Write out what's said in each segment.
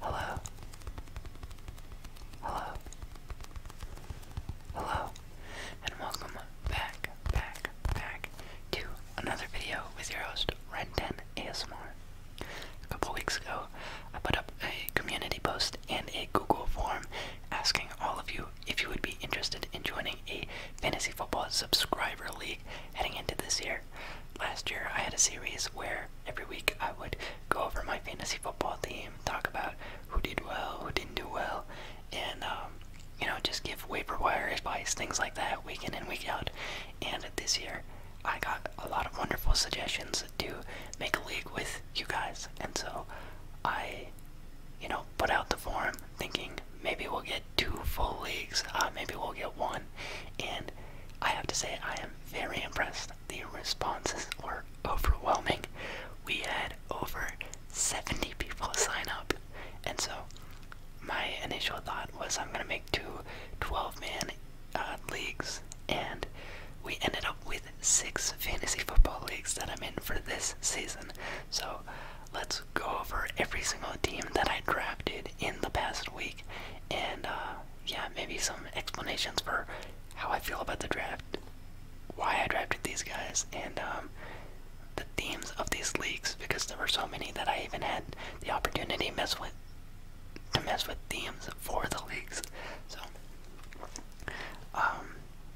Hello. Hello. Hello. And welcome back, back, back to another video with your host, Ren10 ASMR. A couple weeks ago, I put up a community post and a Google form asking all of you if you would be interested in joining a fantasy football subscriber league heading into this year. Last year, I had a series where every week I would go over my fantasy football team, talk about who did well, who didn't do well, and um, you know, just give waiver wire advice, things like that, week in and week out. And this year, I got a lot of wonderful suggestions to make a league with you guys, and so I, you know, put out the form thinking maybe we'll get two full leagues, uh, maybe we'll get one, and I have to say I am very impressed the responses were overwhelming. We had over 70 people sign up. And so my initial thought was I'm going to make two 12 man uh, leagues. And we ended up with six fantasy football leagues that I'm in for this season. So let's go over every single team that I drafted in the past week and uh, yeah, maybe some explanations for how I feel about the draft, why I drafted these guys, and um, the themes of these leagues because there were so many that I even had the opportunity to mess with to mess with themes for the leagues. So, um,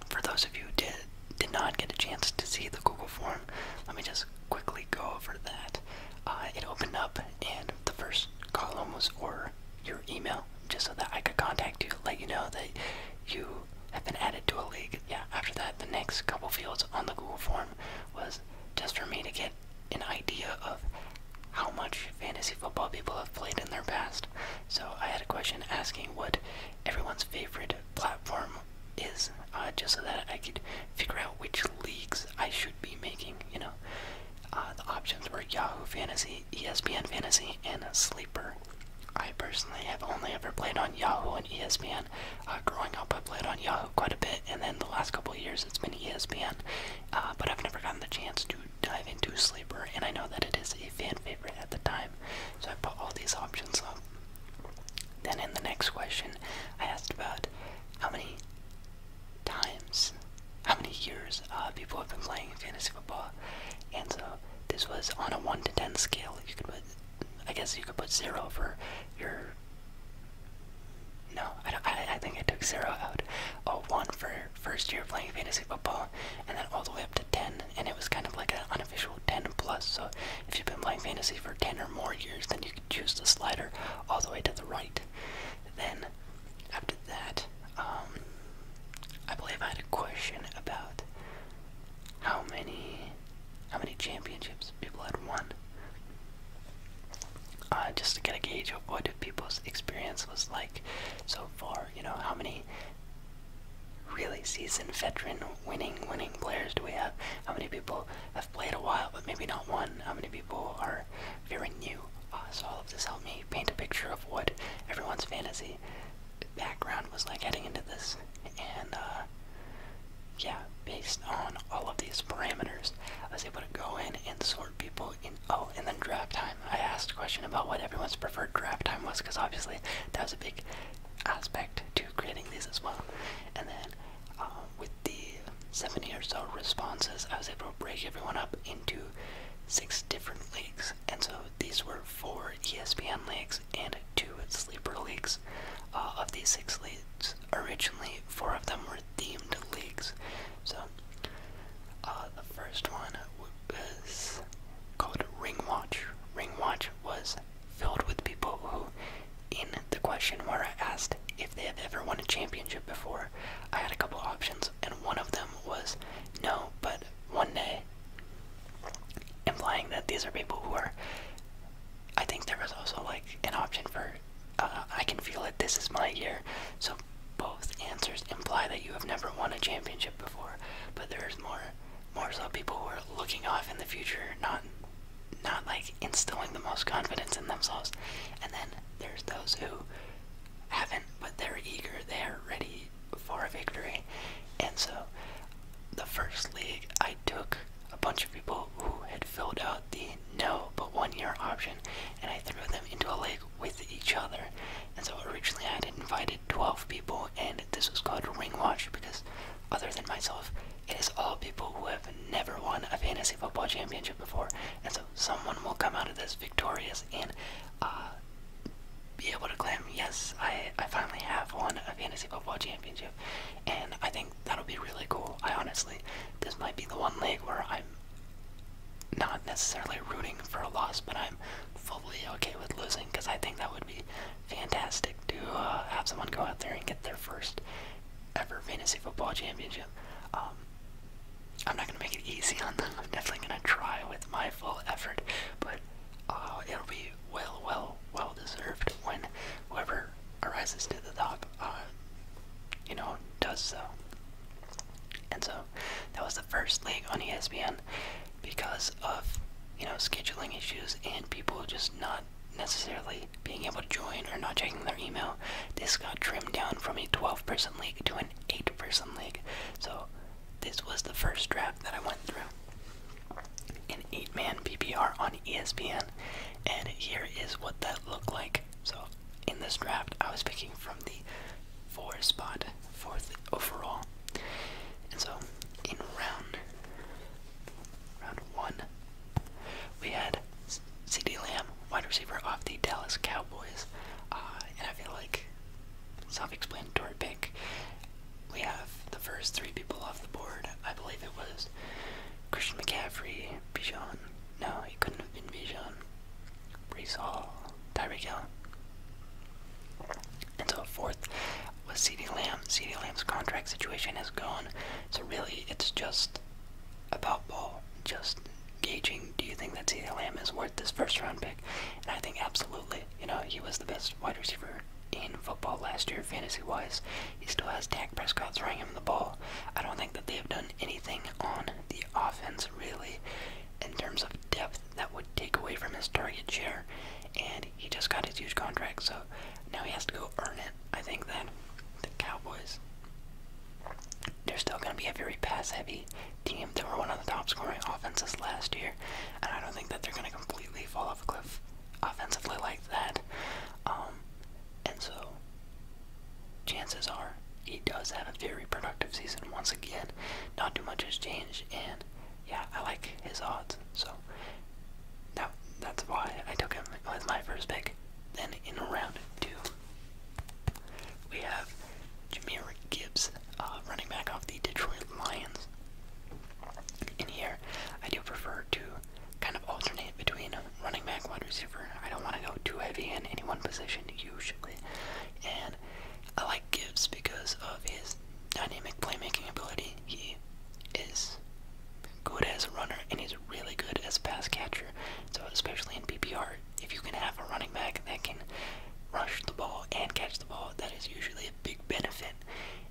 for those of you who did did not get a chance to see the Google form, let me just quickly go over that. Uh, it opened up, and the first column was or your email just so that I could contact you, let you know that you have been added to a league. Yeah, after that, the next couple fields on the Google form was just for me to get an idea of how much fantasy football people have played in their past. So I had a question asking what everyone's favorite platform is, uh, just so that I could figure out which leagues I should be making, you know. Uh, the options were Yahoo Fantasy, ESPN Fantasy, and Sleeper. I personally have only ever played on Yahoo and ESPN. Uh, growing up, I played on Yahoo quite a bit, and then the last couple of years it's been ESPN. Uh, but I've never gotten the chance to dive into Sleeper, and I know that it is a fan favorite at the time, so I put all these options up. Then in the next question, I asked about how many times, how many years uh, people have been playing fantasy football, and so this was on a one to ten scale. You could put, I guess, you could put zero for your. No, I, don't, I, think I took zero out. Oh, one for first year playing fantasy football, and then all the way up to ten, and it was kind of like an unofficial ten plus. So if you've been playing fantasy for ten or more years, then you could choose the slider all the way to the right. Then after that, um, I believe I had a question about how many how many championships people had won. Uh, just to get a gauge of what people's experience was like so far, you know, how many really seasoned veteran winning winning players do we have? How many people have played a while but maybe not won? How many people are very new. Uh, so all of this helped me paint a picture of what everyone's fantasy background was like heading into this, and uh, yeah, based on all of these parameters, I was able to go in and sort people in. Oh, and then draft time. I asked a question about what everyone's preferred draft time was, because obviously that was a big aspect to creating these as well. And then uh, with the 70 or so responses, I was able to break everyone up into six different leagues, and so these were four ESPN leagues and two sleeper leagues. Uh, of these six leagues, originally four of them were themed leagues. So uh, the first one was called Ring Watch. Ring Watch was filled with people who, in the question where I asked if they have ever won a championship before, I had a couple options, and one of them was no, but one day, implying that these are people who are. I think there was also like an option for uh, I can feel it, this is my year. So both answers imply that you have never won a championship before, but there's more more so people who are looking off in the future, not not like instilling the most confidence in themselves. And then there's those who haven't, but they're eager, they're ready for a victory. And so, the first league, I took a bunch of people who had filled out the no but one year option, and I threw them into a league with each other. And so, originally, I had invited 12 people, and this was called Ring Watch because, other than myself, it is all people who have never won a fantasy football championship before. And someone will come out of this victorious and uh, be able to claim, yes, I, I finally have won a fantasy football championship. And I think that'll be really cool. I honestly, this might be the one league where I'm not necessarily rooting for a loss, but I'm fully okay with losing because I think that would be fantastic to uh, have someone go out there and get their first ever fantasy football championship. Um, I'm not gonna make it easy on them. I'm definitely gonna try with my full effort, but uh, it'll be well, well, well deserved when whoever arises to the top, uh, you know, does so. And so that was the first league on ESPN because of you know scheduling issues and people just not necessarily being able to join or not checking their email. This got trimmed down from a 12-person league to an eight for some league. So this was the first draft that I went through. An eight-man PPR on ESPN, and here is what that looked like. So in this draft, I was picking from the four spot, fourth overall, and so in round round one, we had C.D. Lamb, wide receiver off the Dallas Cowboys, uh, and I feel like self-explanatory pick. We have the first three people off the board. I believe it was Christian McCaffrey, Bijan. No, it couldn't have been Bijan. Brees Hall, Tyreek Hill. And so fourth was CeeDee Lamb. CeeDee Lamb's contract situation is gone. So really, it's just about ball. Just gauging, do you think that CeeDee Lam is worth this first round pick? And I think absolutely. You know, he was the best wide receiver in football last year, fantasy wise. He still has Dak Prescott throwing him the ball. I don't think that they have done anything on the offense, really, in terms of depth that would take away from his target share. And he just got his huge contract, so now he has to go earn it. I think that the Cowboys they're still going to be a very pass heavy team. They were one of the top scoring offenses last year, and I don't think that they're going to completely fall off a cliff offensively like that. Um, and so, chances are he does have a very productive season once again. Not too much has changed, and yeah, I like his odds. So, that's why I took him with my first pick. Then in round two, we have Jameer Gibbs, uh, running back off the Detroit Lions. In here, I do prefer to kind of alternate between running back, wide receiver. I don't want to go too heavy in any one position usually, and I like Gibbs because of his dynamic playmaking ability. He is good as a runner and he's really good as a pass catcher. So especially in PPR, if you can have a running back that can rush the ball and catch the ball, that is usually a big benefit.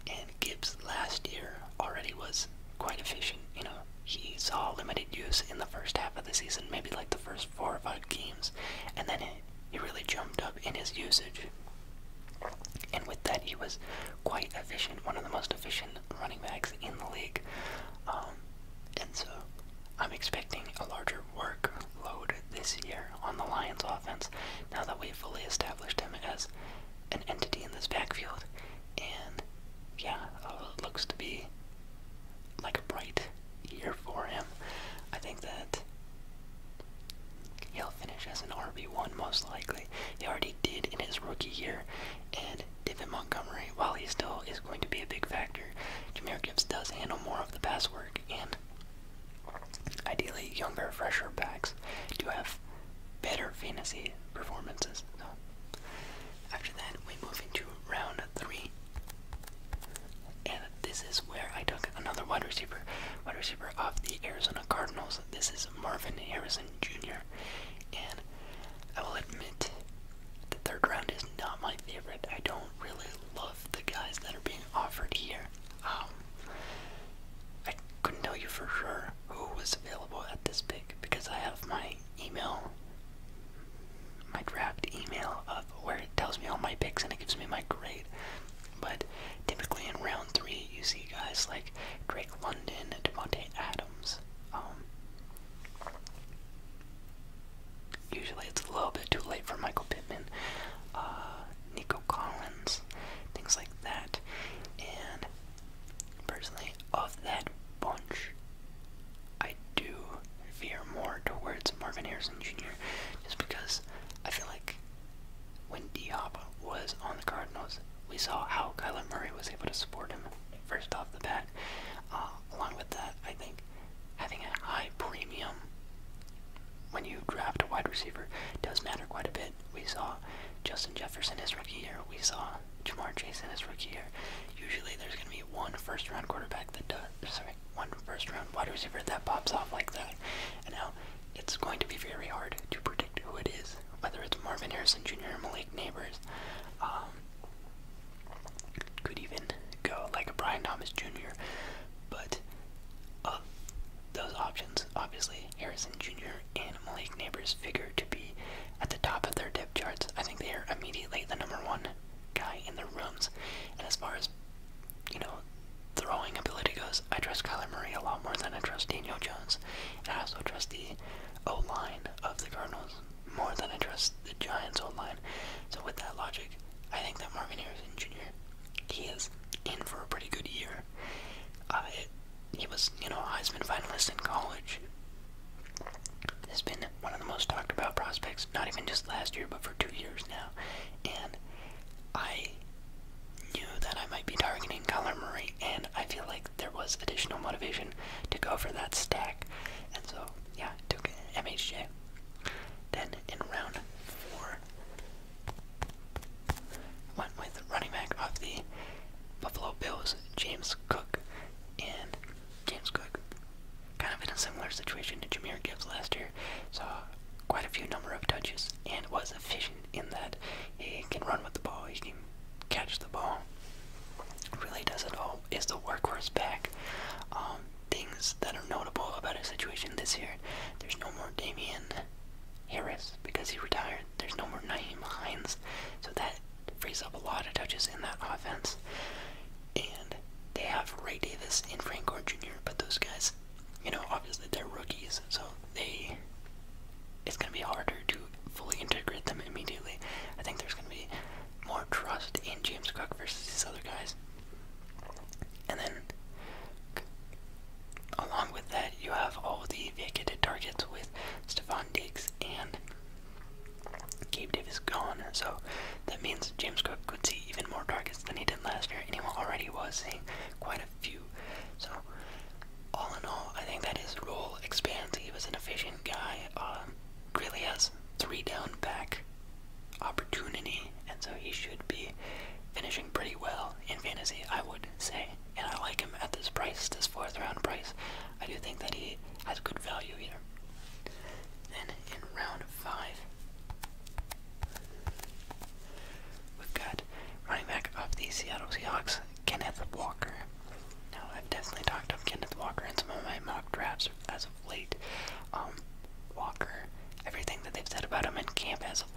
And Gibbs last year already was quite efficient. You know, he saw limited use in the first half of the season, maybe like the first four or five games, and then he really jumped up in his usage. And with that, he was quite efficient, one of the most efficient running backs in the league. Um, and so I'm expecting a larger workload this year on the Lions offense now that we've fully established him as an entity in this backfield. And yeah, it uh, looks to be like a bright year for him. I think that he'll finish as an RB1 most likely. He already did in his rookie year. And David Montgomery, while he still is going to be a big factor, Jameer Gibbs does handle more of the pass work work Ideally, younger, fresher backs do have better fantasy performances. after that, we move into round three. And this is where I took another wide receiver, wide receiver of the Arizona Cardinals. This is Marvin Harrison Jr. And I will admit, the third round is not my favorite. I don't really the guys that are being offered here. Um, I couldn't tell you for sure who was available at this pick because I have my email, my draft email of where it tells me all my picks and it gives me my grade. But typically in round three, you see guys like Drake London, Devontae Adams, um, Usually it's a little bit too late for Michael Pittman, uh, Nico Collins, things like that. And personally, of that bunch, I do veer more towards Marvin Harrison Jr. just because I feel like when Diop was on the Cardinals, we saw how Kyler Murray was able to support him first off the bat. Uh, along with that, I think having a high premium when you draft a wide receiver does matter quite a bit. We saw Justin Jefferson his rookie year. We saw Jamar Chase in his rookie year. Usually there's going to be one first round quarterback that does, sorry, one first round wide receiver that pops off like that. now it's going to be very hard to predict who it is, whether it's Marvin Harrison Jr. or Malik Neighbors. Um, could even go like a Brian Thomas Jr. But of uh, those options, obviously Harrison Jr. and Malik Neighbors figure to be at the top of their depth charts. I think they are immediately the number one guy in their rooms. And as far as you know, throwing ability goes, I trust Kyler Murray a lot more than I trust Daniel Jones. And I also trust the O line of the Cardinals more than I trust the Giants O line. So with that logic, I think that Marvin Harrison Jr. he is in for a pretty good year. Uh, he was, you know, Heisman finalist in college. Has been one of the most talked about prospects, not even just last year, but for two years now. And I knew that I might be targeting Kyler Murray, and I feel like there was additional motivation to go for that stack. And so yeah, took MHJ. Then in round four, went with running back of the Buffalo Bills, James Cook. And James Cook, kind of in a similar situation to Jameer Gibbs last year, saw quite a few number of touches and was efficient in that he can run with the ball, he can catch the ball. Really does it all. Is the workhorse back? Um, things that are notable about his situation this year. There's no more Damian Harris because he retired. There's no more Naheem Hines. So that frees up a lot of touches in that offense. And they have Ray Davis and Frank Gore Jr., but those guys, you know, obviously they're rookies, so they it's gonna be harder to fully integrate them immediately. I think there's gonna be more trust in James Cook versus these other guys. And then, along with that, you have all the vacated targets with Stephon Diggs and Gabe Davis gone. So that means James Cook could see even more targets than he did last year, and he already was seeing quite a few. So, all in all, I think that his role expands. He was an efficient guy. Um, really has three down back opportunity, and so he should be finishing pretty well in fantasy, I would say. And I like him at this price, this fourth round price. I do think that he has good value here. Then in round five, we've got running back of the Seattle Seahawks, Kenneth Walker. Now, I've definitely talked of Kenneth Walker in some of my mock drafts as of late. Um, Walker, everything that they've said about him in camp as of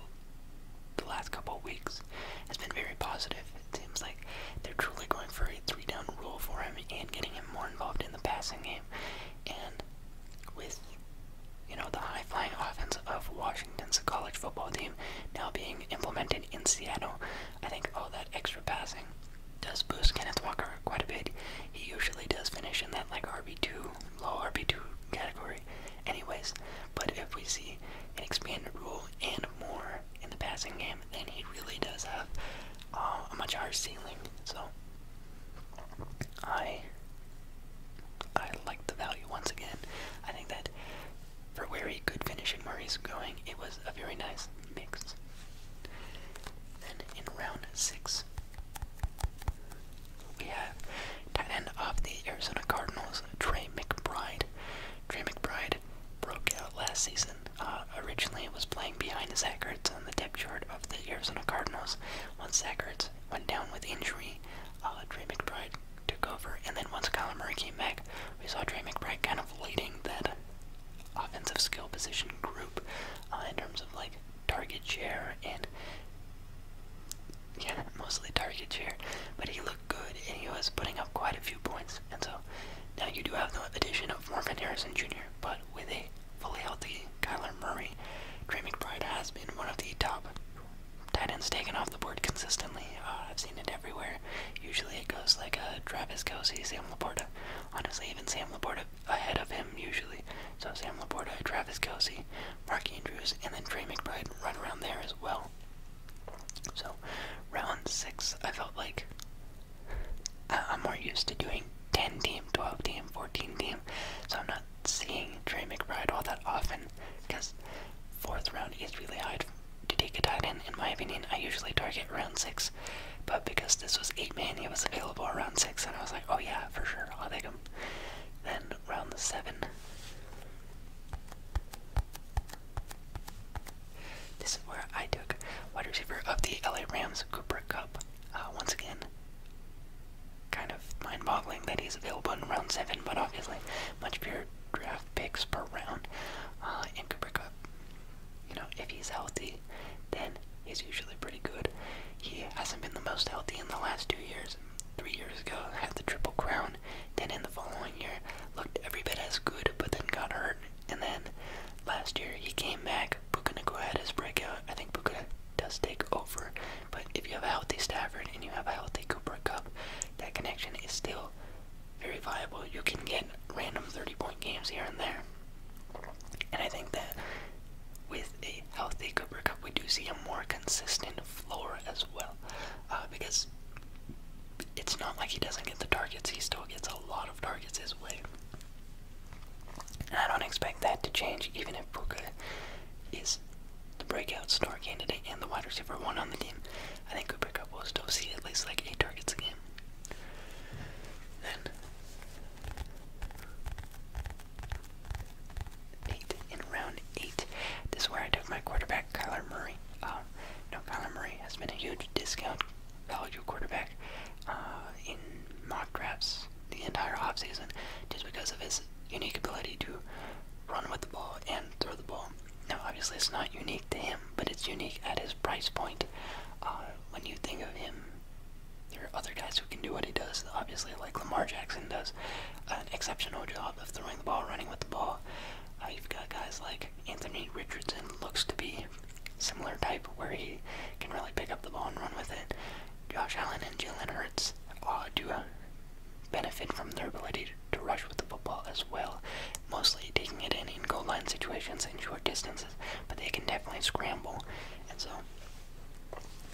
the last couple of weeks has been very positive. It seems like they're truly going for a three-down rule for him and getting him more involved in the passing game. And with you know the high-flying offense of Washington's college football team now being implemented in Seattle, I think all that extra passing does boost Kenneth Walker quite a bit. He usually does finish in that like RB two low RB2 category anyways, but if we see an expanded rule and more in the passing game, then he really does have uh, a much higher ceiling. So I I like the value once again. I think that for where he could finish and where he's going, it was a very nice mix. Then in round six, we have tight end of the Arizona Cardinals, Trey McBride. Trey McBride broke out last season. Uh, originally, was playing behind Zach Ertz on the depth chart of the Arizona Cardinals. Once Zach Ertz went down with injury, uh, Trey McBride took over, and then once Kyler Murray came back, we saw Trey McBride kind of leading that offensive skill position group uh, in terms of like target share and yeah, mostly target share. But he looked good and he was putting up quite a few points. And so now you do have the addition of Marvin Harrison Jr. But with a fully healthy Kyler Murray, Trey McBride has been one of the top tight ends taken off the board consistently. Uh, I've seen it everywhere. Usually it goes like uh, Travis Kelsey, Sam Laporta. Honestly, even Sam Laporta ahead of him usually. So Sam Laporta, Travis Kelsey, Mark Andrews, and then Trey McBride run around there as well. So, round six, I felt like I uh, I'm more used to doing 10 team, 12 team, 14 team, so I'm not seeing Trey McBride all that often because fourth round is really hard to take a tight end, in my opinion. I usually target round six, but because this was eight man, he was available around six, and I was like, oh yeah, for sure, I'll take him. Then round seven. This is where I took wide receiver of the LA Rams Cooper Cup. Uh, once again, kind of mind-boggling that he's available in round seven, but obviously much better draft picks per round. Uh, Cooper Cup, you know, if he's healthy, then he's usually pretty good. He hasn't been the most healthy in the last two years, three years ago, had the Triple Crown, then in the following year, looked every bit as good, but then got hurt. And then last year, he came back. Puka Nakua had his breakout. I think Puka does take over, but if you have a healthy Stafford and you have a healthy Cooper Cup, that connection is still very viable. You can get random 30 point games here and there. And I think that with a healthy Cooper Cup, we do see him more consistent floor as well, uh, because it's not like he doesn't get the targets. He still gets a lot of targets his way. I don't expect that to change, even if Puka is the breakout star candidate and the wide receiver one on the team. I think Cooper Cup will still see at least like eight targets a game eight in round eight. This is where I took my quarterback, Kyler Murray. Uh, no, Kyler Murray has been a huge discount value quarterback uh, in mock drafts the entire offseason just because of his unique ability to run with the ball and throw the ball. Now, obviously, it's not unique to him, but it's unique at his price point. Uh, when you think of him, there are other guys who can do what he does, obviously, like Lamar Jackson does an exceptional job of throwing the ball, running with the ball. Uh, you've got guys like Anthony Richardson, looks to be similar type, where he can really pick up the ball and run with it. Josh Allen and Jalen Hurts uh, do benefit from their ability to rush with the football as well, mostly taking it in in goal line situations and short distances, but they can definitely scramble. And so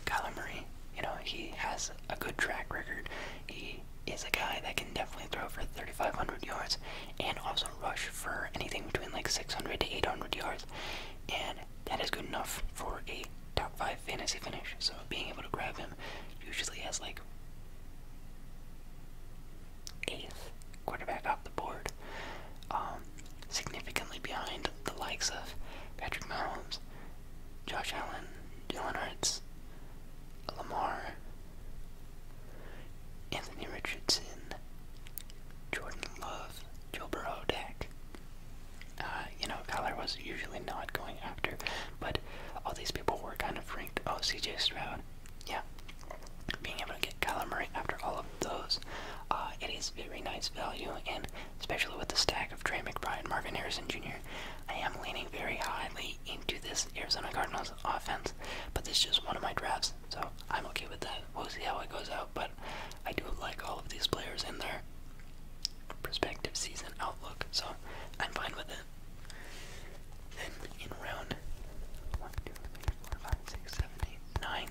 Kyler Murray, you know, he has a good track record. He is a guy that can definitely throw for 3,500 yards and also rush for anything between like 600 to 800 yards. And that is good enough for a top 5 fantasy finish. So being able to grab him usually has like 8th quarterback off the board. Um, significantly behind the likes of Patrick Mahomes, Josh Allen, Dylan Hurts, Lamar, Anthony Richardson, Jordan Love, Joe Burrow, Dak. Uh, you know, Kyler was usually not going after, but all these people were kind of ranked. Oh, CJ Stroud. Yeah. Being able to get Kyler Murray after all of those, uh, it is very nice value, and especially with the stack of Trey McBride, Marvin Harrison Jr. I am leaning very highly into this Arizona Cardinals offense, but this is just one of my drafts, so I'm okay with that. We'll see how it goes out, but I do like all of these players in their prospective season outlook, so I'm fine with it. Then in round one, two, three, four, five, six, seven, eight, nine,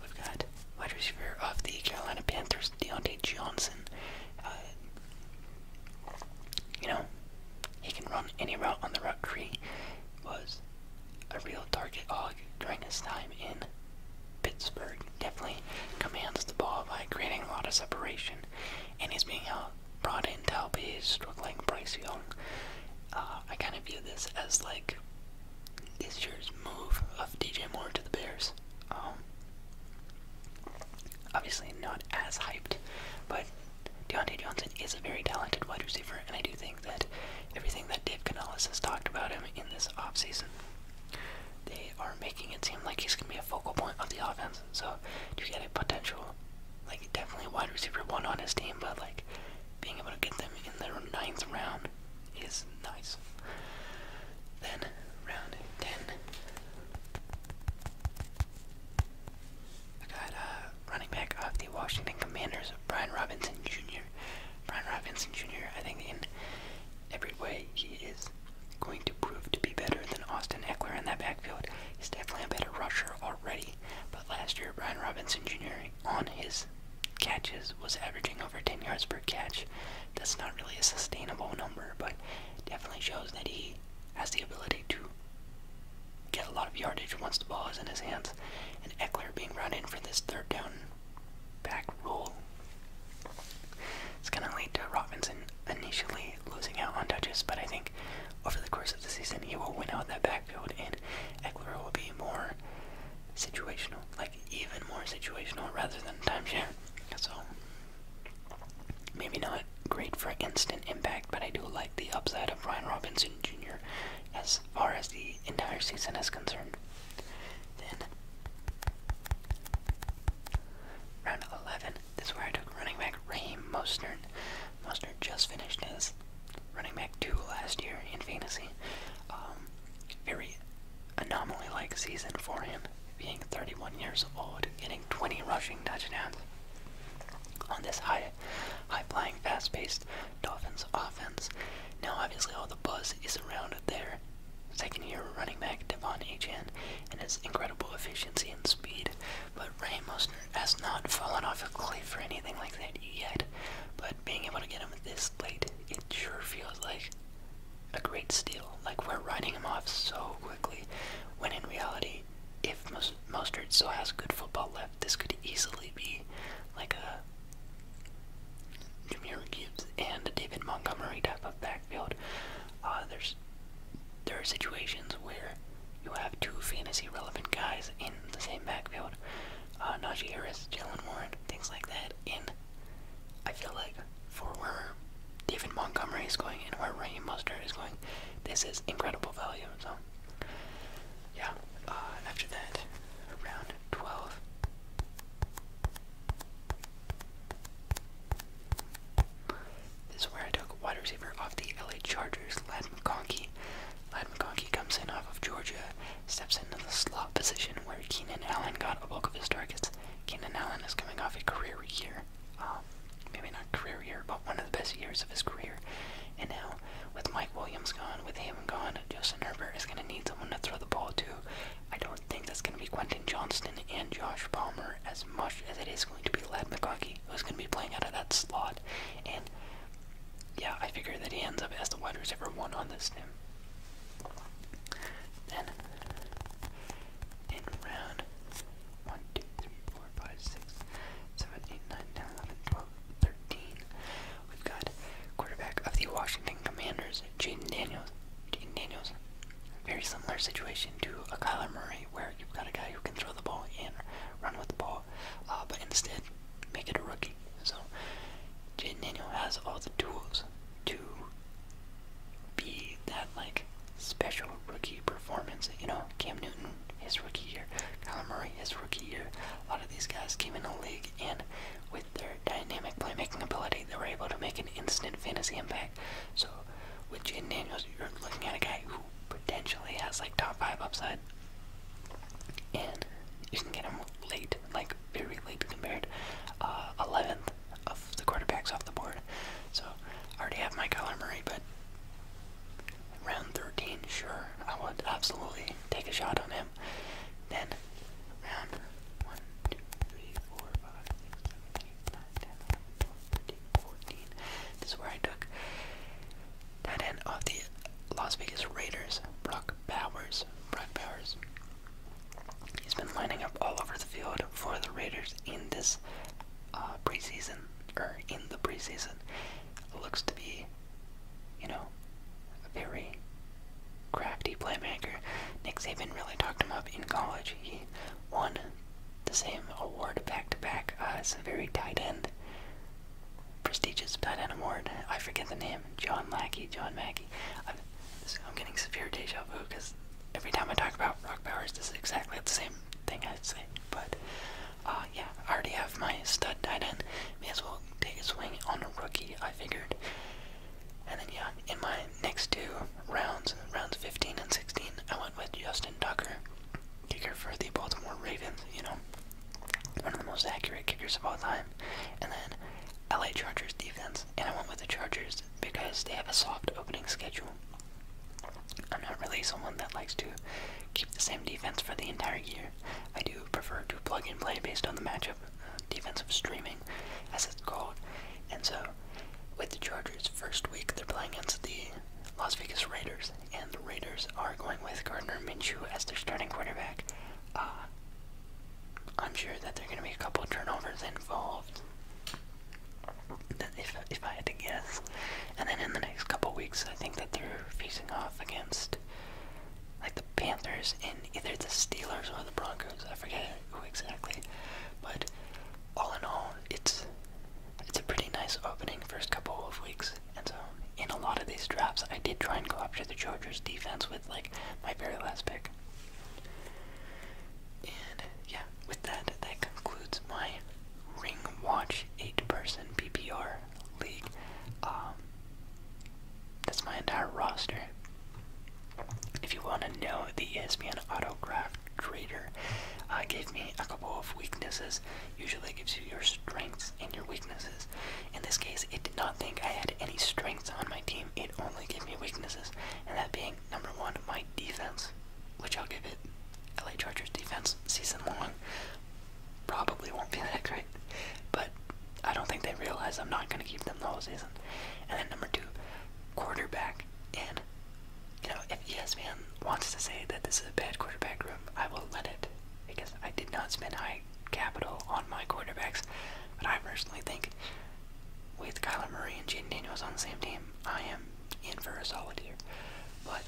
we've got wide receiver of the Carolina Panthers, Deontay Johnson. Uh, you know, he can run any route on the route tree. Was a real target hog during his time in Pittsburgh. Definitely commands the ball by creating a lot of separation, and he's being brought in to help his struggling Bryce Young. Uh, I kind of view this as like this year's move of DJ Moore to the Bears. Um, obviously not as hyped, but Deontay Johnson is a very talented wide receiver, and I do think that everything that Dave Canales has talked about him in this offseason, they are making it seem like he's going to be a focal point of the offense. So you get a potential, like definitely wide receiver one on his team, but like being able to get them in the ninth round is nice. Then round 10, I got running back of the Washington Commanders, Brian Robinson Jr. Brian Robinson Jr. I think in every way he is going to prove to be better than Austin Eckler in that backfield. He's definitely a better rusher already. But last year, Brian Robinson Jr. on his catches was averaging over 10 yards per catch that's not really a sustainable number, but definitely shows that he has the ability to get a lot of yardage once the ball is in his hands. And Eckler being run in for this third down back rule. It's going to lead to Robinson initially losing out on touches, but I think over the course of the season he will win out that backfield and Eckler will be more situational, like even more situational rather than timeshare. So Maybe not great for instant impact, but I do like the upside of Ryan Robinson Jr. as far as the entire season is concerned. Then, round 11, this is where I took running back Raheem Mostert. Mostert just finished as running back 2 last year in fantasy. Um, very anomaly like season for him, being 31 years old, getting 20 rushing touchdowns. On this high, high flying, fast paced Dolphins offense. Now, obviously, all the buzz is around their second year running back, Devon Achan, and his incredible efficiency and speed. But Ray Mostert has not fallen off a cliff or anything like that yet. But being able to get him this late, it sure feels like a great steal. Like we're writing him off so quickly, when in reality, if most of Mostert still has good football left, this could easily be like a Jameer Gibbs and David Montgomery type of backfield. Uh, there's there are situations where you have two fantasy relevant guys in the same backfield. Uh, Najee Harris, Jalen Warren, things like that. In I feel like for where David Montgomery is going and where Raheem Mustard is going, this is incredible value. So, yeah. Uh, after that, round 12. This is where I took wide receiver off the LA Chargers, Lad McConkey. Lad McConkey comes in off of Georgia, steps into the slot position where Keenan Allen got a bulk of his targets. Keenan Allen is coming off a career year um, maybe not career year, but one of the best years of his career. And now, with Mike Williams gone, with him gone, Justin Herbert is going to need someone to throw the ball to. I don't think that's going to be Quentin Johnston and Josh Palmer as much as it is going to be Lad McConkey, who's going to be playing out of that slot. And yeah, I figure that he ends up as the wide receiver one on this team in round 1, We've got quarterback of the Washington Commanders, Jaden Daniels. Jaden Daniels, very similar situation to a Kyler Murray, where you've got a guy who can throw the ball and run with the ball, uh, but instead make it a rookie. So Jaden Daniel has all the tools to be that like special rookie performance. You know, Cam Newton his rookie year, Kyler Murray his rookie year. A lot of these guys came in the league and with their dynamic playmaking ability, they were able to make an instant fantasy impact. So with Jaden Daniels, you're looking at a guy who potentially has like top five upside, and you can get him late, like very late compared, uh, eleventh of the quarterback's off the board. So I already have my Kyler Murray, but round 13, sure, I will absolutely take a shot on him. Then round 1, This is where I took that end of the Las Vegas Raiders, Brock Powers. Brock Powers. He's been lining up all over the field for the Raiders in this uh, preseason or in the preseason looks to be, you know, a very crafty playmaker. Nick Saban really talked him up in college. He won the same award back to back as a very tight end, prestigious tight end award. I forget the name. John Lackey, John Mackey. I'm, I'm getting severe deja vu because every time I talk about Rock Bowers, this is exactly the same thing I'd say. But uh, yeah, I already have my stud tied in. May as well take a swing on a rookie, I figured. And then yeah, in my next two rounds, rounds 15 and 16, I went with Justin Tucker, kicker for the Baltimore Ravens, you know, one of the most accurate kickers of all time. And then LA Chargers defense, and I went with the Chargers because they have a soft opening schedule. I'm not really someone that likes to keep the same defense for the entire year. I do prefer to plug and play based on the matchup, uh, defensive streaming, as it's called. And so, with the Chargers, first week they're playing against the Las Vegas Raiders, and the Raiders are going with Gardner Minshew as their starting quarterback. Uh, I'm sure that there are going to be a couple turnovers involved if I had to guess. And then in the next couple weeks, I think that they're facing off against like the Panthers and either the Steelers or the Broncos. I forget who exactly. But all in all, it's it's a pretty nice opening first couple of weeks. And so in a lot of these drafts, I did try and go up to the Chargers defense with like my very last pick. And yeah, with that, that concludes my Ring Watch 8 person PPR league. Um, that's my entire roster. If you want to know, the ESPN Autograph Trader uh, gave me a couple of weaknesses. Usually gives you your strengths and your weaknesses. In this case, it did not think I had any strengths on my team. It only gave me weaknesses, and that being, number one, my defense which I'll give it. LA Chargers defense season long probably won't be that great, but I don't think they realize I'm not going to keep them the whole season. And then number two, quarterback. And you know, if ESPN wants to say that this is a bad quarterback room, I will let it because I did not spend high capital on my quarterbacks. But I personally think with Kyler Murray and Jaden Daniels on the same team, I am in for a solid year. But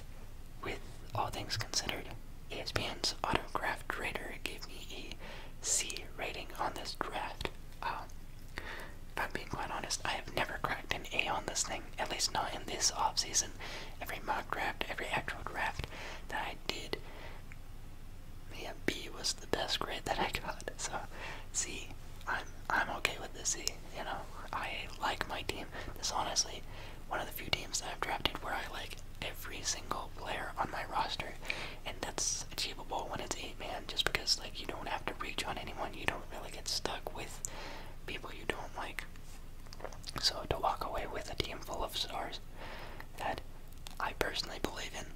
with all things considered, ESPN's Autograph Rater gave me a C rating on this draft. Um, I'm being quite honest, I have never cracked an A on this thing, at least not in this off season. Every mock draft, every actual draft that I did, yeah, B was the best grade that I got. So, C, I'm I'm okay with the C you know, I like my team. This is honestly one of the few teams that I've drafted where I like every single player on my roster, and that's achievable when it's eight man, just because like you don't have to reach on anyone. You don't really get stuck with people you don't like. So to walk away with a team full of stars that I personally believe in,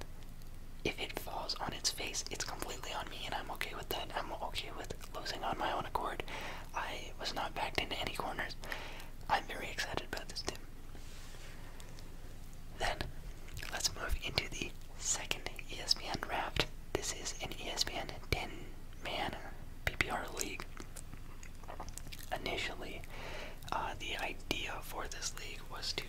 if it falls on its face, it's completely on me, and I'm okay with that. I'm okay with losing on my own accord. I was not backed into any corners. I'm very excited about this team. Then, let's move into the second ESPN Wrapped. This is an ESPN 10 man PPR league. Initially, uh, the idea for this league was to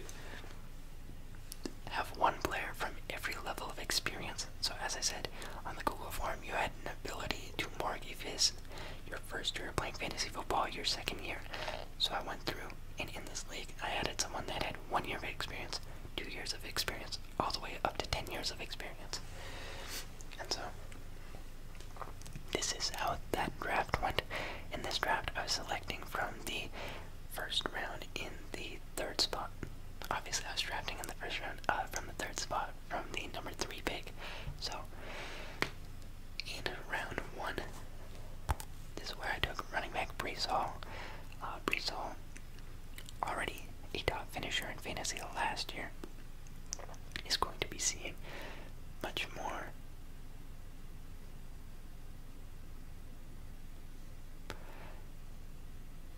have one player from every level of experience so as I said, on the Google form, you had an ability to mark if it's your first year playing fantasy football, your second year. So I went through, and in this league, I added someone that had one year of experience, two years of experience, all the way up to ten years of experience. And so, this is how that draft went. In this draft, I was selecting from the first round in the third spot. Obviously, I was drafting in the first round uh, from the third spot from the number three pick. So, in round one, this is where I took running back Brees Hall. Uh, Brees already a top finisher in fantasy last year, is going to be seeing much more.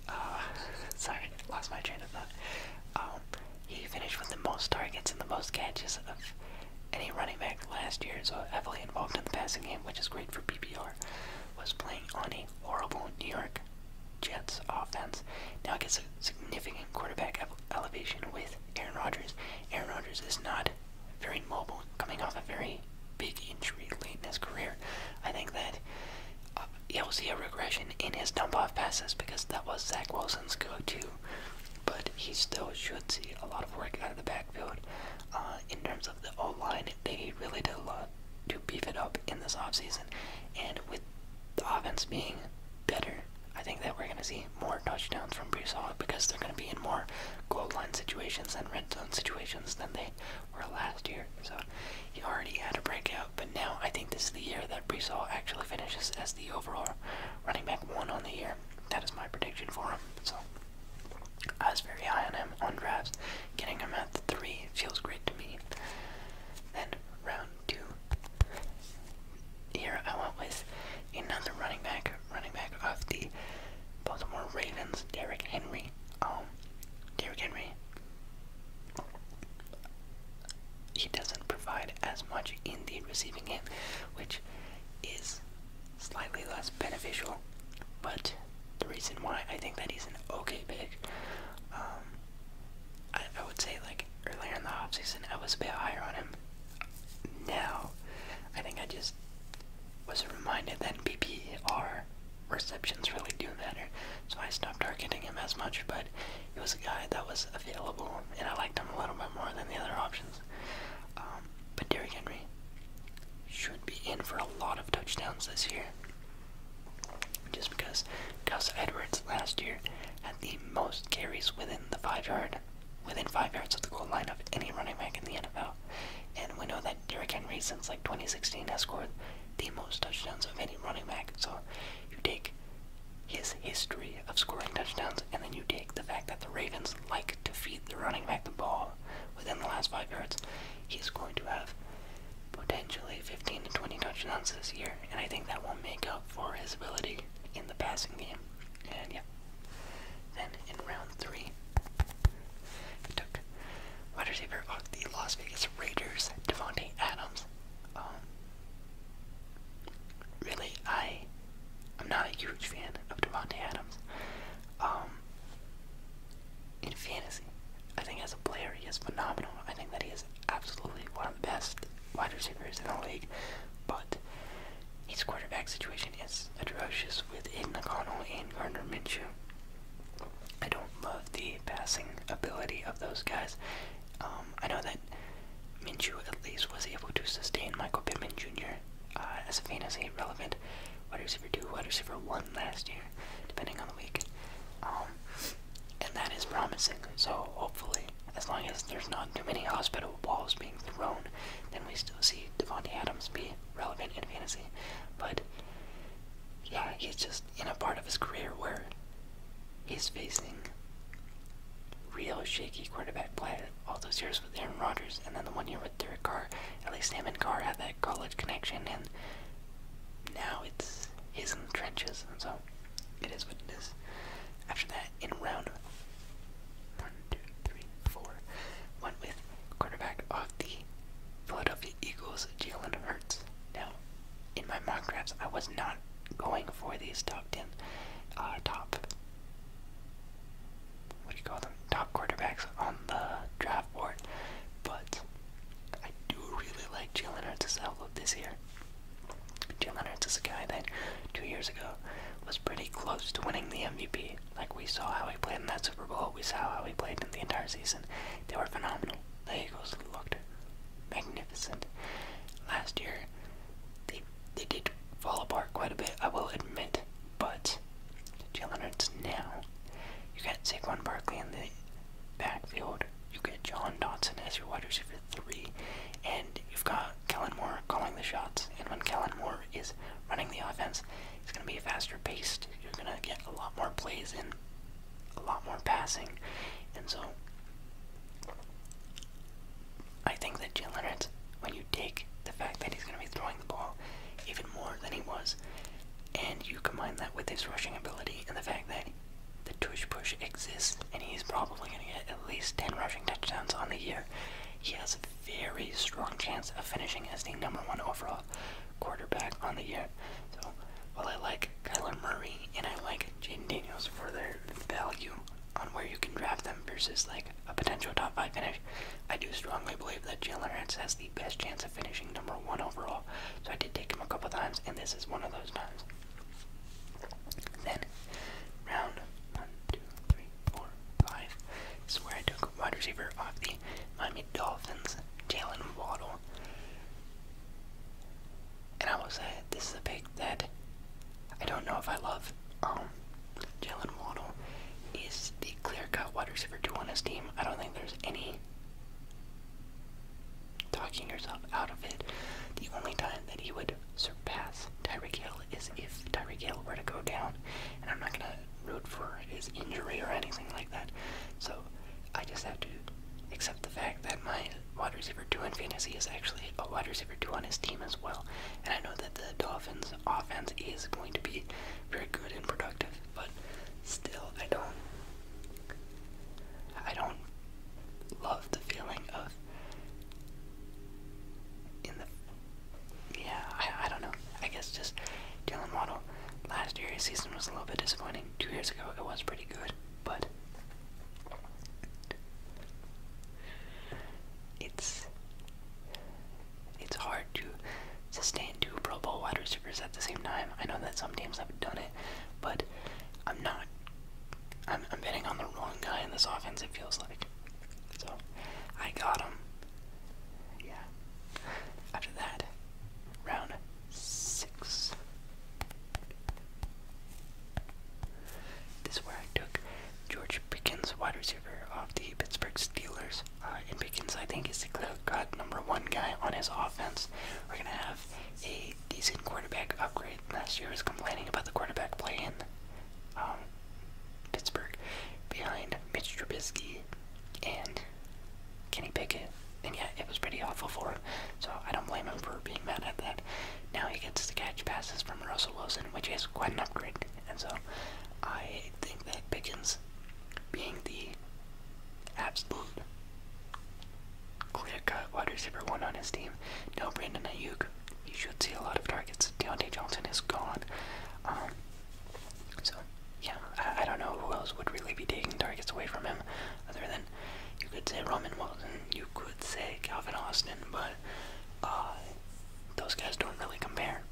Ah, sorry, lost my train of thought. Um, he finished with the most targets and the most catches of any running back last year, so heavily involved in the passing game, which is great for PPR. Was playing on a horrible New York Jets offense. Now he gets a significant quarterback elevation with Aaron Rodgers. Aaron Rodgers is not very mobile, coming off a very big injury late in his career. I think that uh, he will see a regression in his dump off passes because that was Zach Wilson's go to. But he still should see a lot of work out of the backfield. Uh, in terms of the O line, they really did a lot to beef it up in this offseason. And with the offense being better, I think that we're going to see more touchdowns from Brees Hall because they're going to be in more goal line situations and red zone situations than they or last year. So he already had a breakout, but now I think this is the year that Breesall actually finishes as the overall running back one on the year. That is my prediction for him. So I was very high on him on drafts. Getting him at the three feels great to me. Then round two. Here I went with another running back, running back of the Baltimore Ravens, Derrick Henry. Oh, Derrick Henry he doesn't provide as much in the receiving end, which is slightly less beneficial. But the reason why I think that he's an okay pick, um, I, would say like earlier in the offseason I was a bit higher on him. Now, I think I just was reminded that PPR receptions really do matter. So I stopped targeting him as much, but he was a guy that was available, and I liked him a little bit more than the other options. Um, but Derrick Henry should be in for a lot of touchdowns this year. Just because Gus Edwards last year had the most carries within the five yard within five yards of the goal line of any running back in the NFL. And we know that Derrick Henry since like 2016 has scored the most touchdowns of any running back. So you take his history of scoring touchdowns, and then you take the fact that the Ravens like to feed the running back the ball within the last five yards. He's going to have potentially 15 to 20 touchdowns this year, and I think that will make up for his ability in the passing game. And yeah. Then in round three, we took wide receiver of the Las Vegas Raiders, Devontae Adams. Um, really, I I'm not a huge fan of Devontae Adams. Um, in fantasy, I think as a player he is phenomenal. I think that he is absolutely one of the best wide receivers in the league, but his quarterback situation is atrocious with Aiden O'Connell and Gardner Minshew. I don't love the passing ability of those guys. Um, I know that Minshew at least was able to sustain Michael Pittman Jr. Uh, as a fantasy relevant wide receiver two, wide receiver one last year, depending on the week. Um, and that is promising. So hopefully, as long as there's not too many hospital balls being thrown, then we still see Devontae Adams be relevant in fantasy. But yeah, he's just in a part of his career where he's facing real shaky quarterback play all those years with Aaron Rodgers and then the one year with Derek Carr. At least him and Carr had that college connection and now it's his in the trenches and so it is what it is. After that in round one, two, three, four, with quarterback of the Eagles, Jalen Hurts. Now in my mock drafts, I was not going for these tucked-in uh, top, what do you call them, top quarterbacks on the draft board, but I do really like Jalen Hurts' outlook this year. Jalen Hurts is a guy that two years ago was pretty close to winning the MVP. Like, we saw how he played in that Super Bowl, we saw how he played in the entire season. They were phenomenal the Eagles looked magnificent last year. They they did fall apart quite a bit, I will admit, but Jalen Hurts now. You got Saquon Barkley in the backfield. You get John Dodson as your wide receiver three, and you've got Kellen Moore calling the shots. And when Kellen Moore is running the offense, it's going to be a faster paced. You're going to get a lot more plays in a lot more passing. And so I think that Jalen Leonard, when you take the fact that he's going to be throwing the ball even more than he was, and you combine that with his rushing ability and the fact that the touch push exists, and he's probably going to get at least 10 rushing touchdowns on the year, he has a very strong chance of finishing as the number one overall quarterback on the year. So while I like Kyler Murray and I like Jaden Daniels for their value on where you can draft them versus like a potential top five finish, I do strongly believe that Jalen Hurts has the best chance of finishing number one overall. So I did take him a couple times, and this is one of those times. Then round one, two, three, four, five. is where I took wide receiver off the Miami Dolphins, Jalen Waddle. And I will say, this is a pick that I don't know if I love. Um, Jalen Waddle is the clear-cut water receiver two on his team. I don't think there's any talking yourself out of it. The only time that he would surpass Tyreek Hill is if Tyreek Hill were to go down, and I'm not gonna root for his injury or anything like that. So I just have to accept the fact that my wide receiver two in fantasy is actually a wide receiver two on his team as well. And I know that the Dolphins' offense is going to be very good and productive, but still, I don't. I don't love the feeling of in the yeah I, don't know I guess just Dylan Waddle last year season was a little bit disappointing two years ago it was pretty good but it's it's hard to sustain two Pro Bowl wide receivers at the same time. I know that some teams have done it, but I'm not. I'm, I'm betting on the wrong guy in this offense. It feels like. So I got him. Yeah. After that, round six. This is where I took George Pickens, water receiver off the Pittsburgh Steelers. Uh, and Pickens, I think, is the clear-cut number one guy on his offense. We're gonna have a decent quarterback upgrade. Last year was complaining about the quarterback play um, Pittsburgh behind Mitch Trubisky and Kenny Pickett. And yeah, it was pretty awful for him, so I don't blame him for being mad at that. Now he gets to catch passes from Russell Wilson, which is quite an upgrade. And so I think that Pickens, being the absolute clear cut wide receiver one on his team, no Brandon Ayuk, you should see a lot of targets. Deontay Johnson is gone. Um, so, yeah, I, I don't know who else would really be taking targets away from him other than you could say Roman Wilson. You could say Calvin Austin, but uh, those guys don't really compare.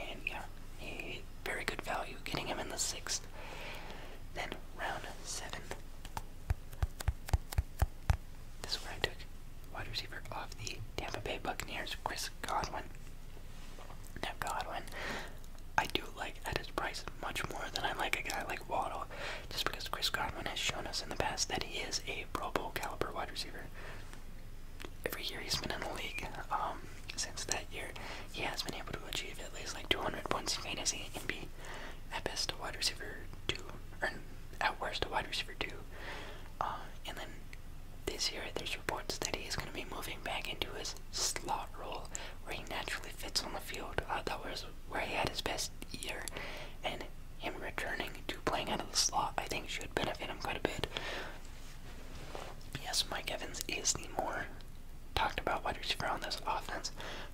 And yeah, a very good value getting him in the sixth. Then round seven. This is where I took wide receiver off the Tampa Bay Buccaneers, Chris Godwin. Now Godwin, I do like at his price much more than I like a guy like just because Chris Godwin has shown us in the past that he is a Pro Bowl caliber wide receiver. Every year he's been in the league, um, since that year, he has been able to achieve at least like 200 points in fantasy and be at best a wide receiver two, or at worst a wide receiver two. Uh, and then this year, there's reports that he is going to be moving back into his slot role, where he naturally fits on the field. Uh, that was where he had his best year, and him returning to playing out of the slot, I think should benefit him quite a bit. Yes, Mike Evans is the more talked about wide receiver on this offense,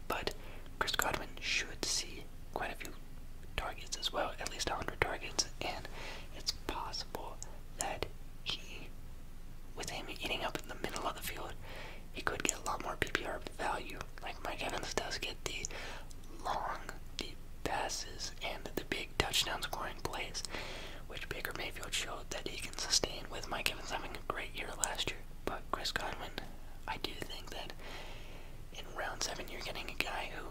but Chris Godwin should see quite a few targets as well, at least 100 targets, and it's possible that he, with him eating up in the middle of the field, he could get a lot more PPR value. Like Mike Evans does get the long, deep passes and the big touchdown scoring plays, which Baker Mayfield showed that he can sustain with Mike Evans having a great year last year. But Chris Godwin, I do think that in round seven you're getting a guy who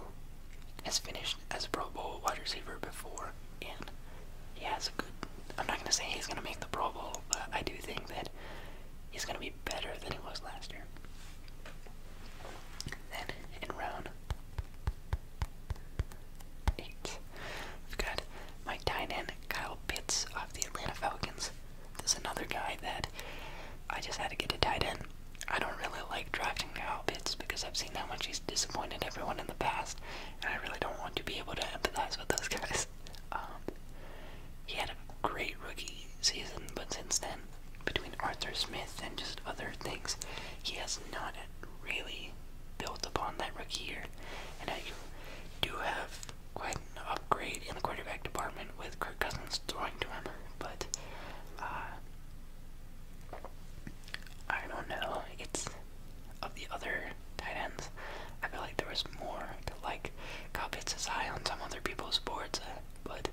has finished as a Pro Bowl wide receiver before, and he has a good. I'm not gonna say he's gonna make the Pro Bowl, but I do think that he's going to be better than he was last year. Then in round eight, we've got Mike Tynan, Kyle Pitts of the Atlanta Falcons. This is another guy that I just had to get a tight end. I don't really like drafting Kyle Pitts because I've seen how much he's disappointed everyone in the past, and I really don't want to be able to empathize with those guys. Um, he had a great rookie season, but since then, between Arthur Smith and just other things, he has not really built upon that rookie year. And I do have quite an upgrade in the quarterback department with Kirk Cousins throwing to him, but uh, I don't know. It's of the other tight ends. I feel like there was more to like Kyle Pitts his eye on some other people's boards, uh, but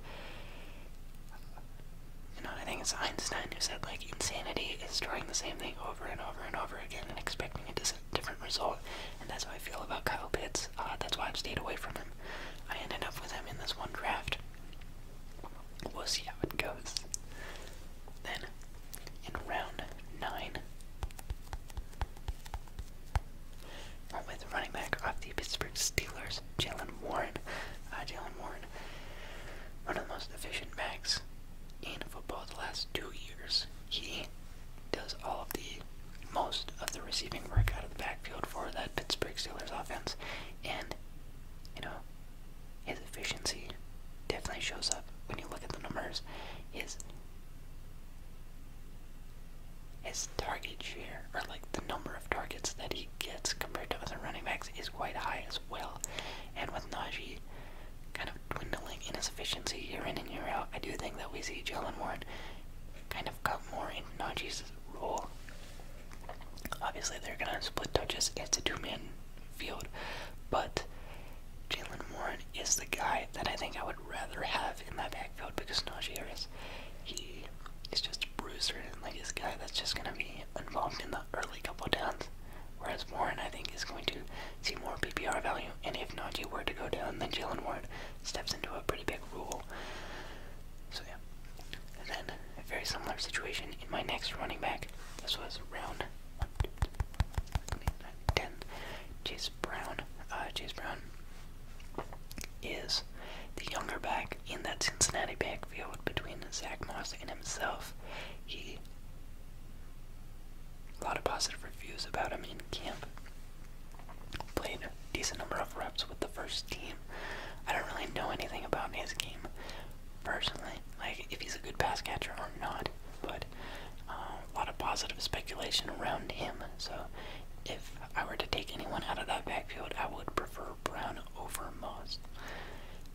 you know, I think it's Einstein who said like insanity is trying the same thing over and over and over again and expecting a different result, and that's how I feel about Kyle Pitts. Uh, that's why I've stayed away from him. I ended up with him in this one draft. We'll see how it goes. Then, in round nine, Probably the running back of the Pittsburgh Steelers, Jalen Warren. Uh, Jalen Warren, one of the most efficient backs in football the last two years. He does all of the most of the receiving work out of the backfield for that Pittsburgh Steelers offense, and you know his efficiency definitely shows up when you look at the numbers. His his target share, or like the number of targets that he gets compared to other running backs, is quite high as well. And with Najee kind of dwindling in efficiency year in and year out, I do think that we see Jalen Warren kind of cut more in Najee's role. Obviously, they're going to split touches. It's a two man field, but Jalen Warren is the guy that I think I would would rather have in my backfield because Najee Harris, he is just a bruiser and like this guy that's just gonna be involved in the early couple downs. Whereas Warren, I think, is going to see more PPR value, and if Najee were to go down, then Jalen Warren steps into a pretty big role. So yeah. And then a very similar situation in my next running back. This was round 1, 2, 3, 10. Chase Brown. Uh, Chase Brown is the younger back in that Cincinnati backfield between Zach Moss and himself. He a lot of positive reviews about him in camp. Played a decent number of reps with the first team. I don't really know anything about his game personally, like if he's a good pass catcher or not, but uh, a lot of positive speculation around him. So if if I were to take anyone out of that backfield, I would prefer Brown over Moss.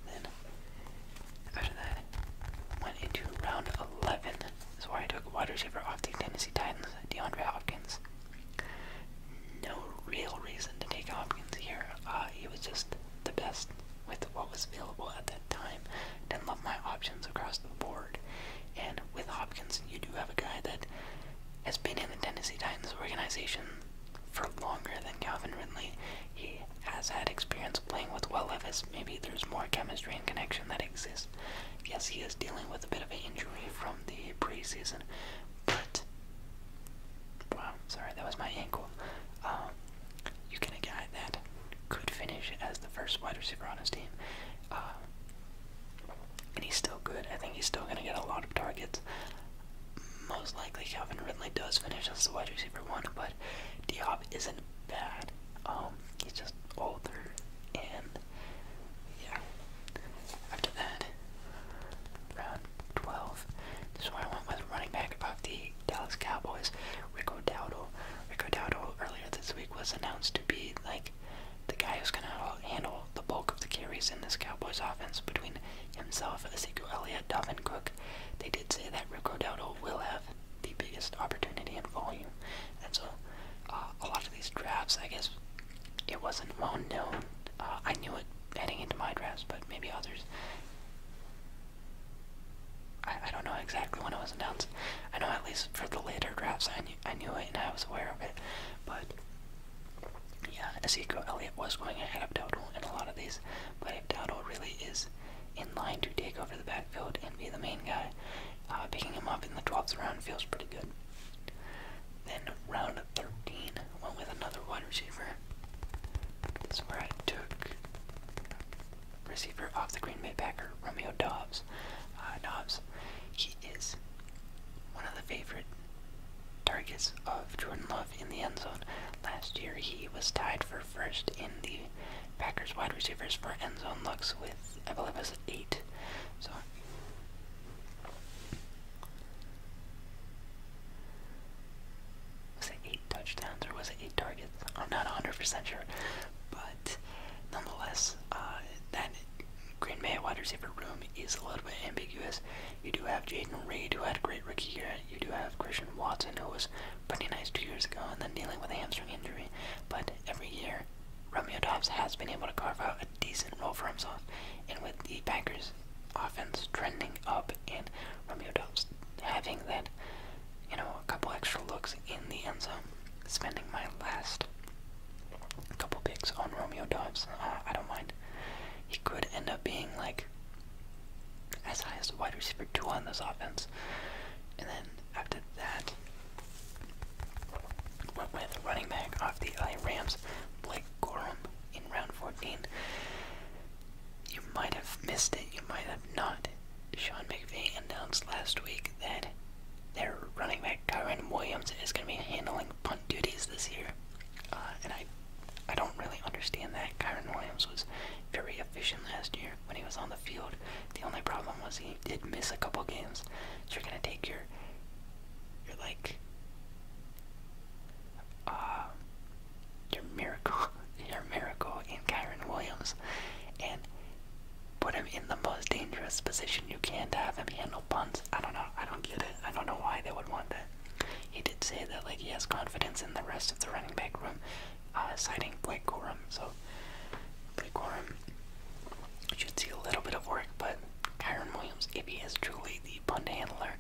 Then, after that, went into round 11. That's why I took wide receiver off the Tennessee Titans, DeAndre Hopkins. No real reason to take Hopkins here. Uh, he was just the best with what was available at that time. Didn't love my options across the board. And with Hopkins, you do have a guy that has been in the Tennessee Titans organization for longer than Calvin Ridley. He has had experience playing with Will Levis. Maybe there's more chemistry and connection that exists. Yes, he is dealing with a bit of an injury from the preseason, but wow, sorry, that was my ankle. Um, you get a guy that could finish as the first wide receiver on his team. Uh, and he's still good. I think he's still going to get a lot of targets. Most likely, Calvin Ridley does finish as the wide receiver one, but Diop isn't bad. Um, he's just older, and yeah. After that, round 12, this is where I went with running back of the Dallas Cowboys, Rico Dowdle. Rico Dowdle earlier this week was announced to be like the guy who's going to handle the bulk of the carries in this Cowboys offense between himself, Ezekiel Elliott, and Cook, they did say that Rick Rodotto will have the biggest opportunity and volume. And so uh, a lot of these drafts, I guess, it wasn't well known. Uh, I knew it heading into my drafts, but maybe others. I, don't know exactly when it was announced. I know at least for the later drafts I knew, I knew it and I was aware of it, but yeah, Ezekiel Elliott was going ahead of Dowdle in a lot of these, but if Dowdle really is in line to take over the backfield and be the main guy, uh, picking him up in the 12th round feels pretty good. Then round 13 went with another wide receiver. That's where I took receiver off the Green Bay Packer, Romeo Dobbs. Uh, Dobbs, he is one of the favorite targets of Jordan Love in the end zone. Last year, he was tied for first in the Packers wide receivers for end zone looks with, I believe, it was eight. So. Was it eight touchdowns or was it eight targets? I'm not 100% sure, but nonetheless, uh, that Green Bay wide receiver room is a little bit ambiguous. You do have Jaden Reed, who had a great rookie year. You do have Christian Watson, who was pretty nice two years ago and then dealing with a hamstring injury. But every year, Romeo Dobbs has been able to carve out a decent role for himself. And with the Packers' offense trending up and Romeo Dobbs having that, you know, a couple extra looks in the end zone, spending my last a couple picks on Romeo Dobbs. Uh, I don't mind. He could end up being like as high as the wide receiver two on this offense. And then after that, went with running back off the LA Rams, Blake Gorham, in round 14. You might have missed it, you might have not. Sean McVay announced last week that their running back Tyron Williams is going to be handling on duties this year, uh, and I, I don't really understand that. Kyron Williams was very efficient last year when he was on the field. The only problem was he did miss a couple games, so you're gonna take your, your like, uh, your miracle, your miracle in Kyron Williams, and put him in the most dangerous position you can to have him handle puns. I don't know. I don't get it. I don't know why they would want that. He did say that like he has confidence in the rest of the running back room, uh, citing Blake Corum. So Blake Corum should see a little bit of work, but Kyron Williams, if he is truly the punter handler,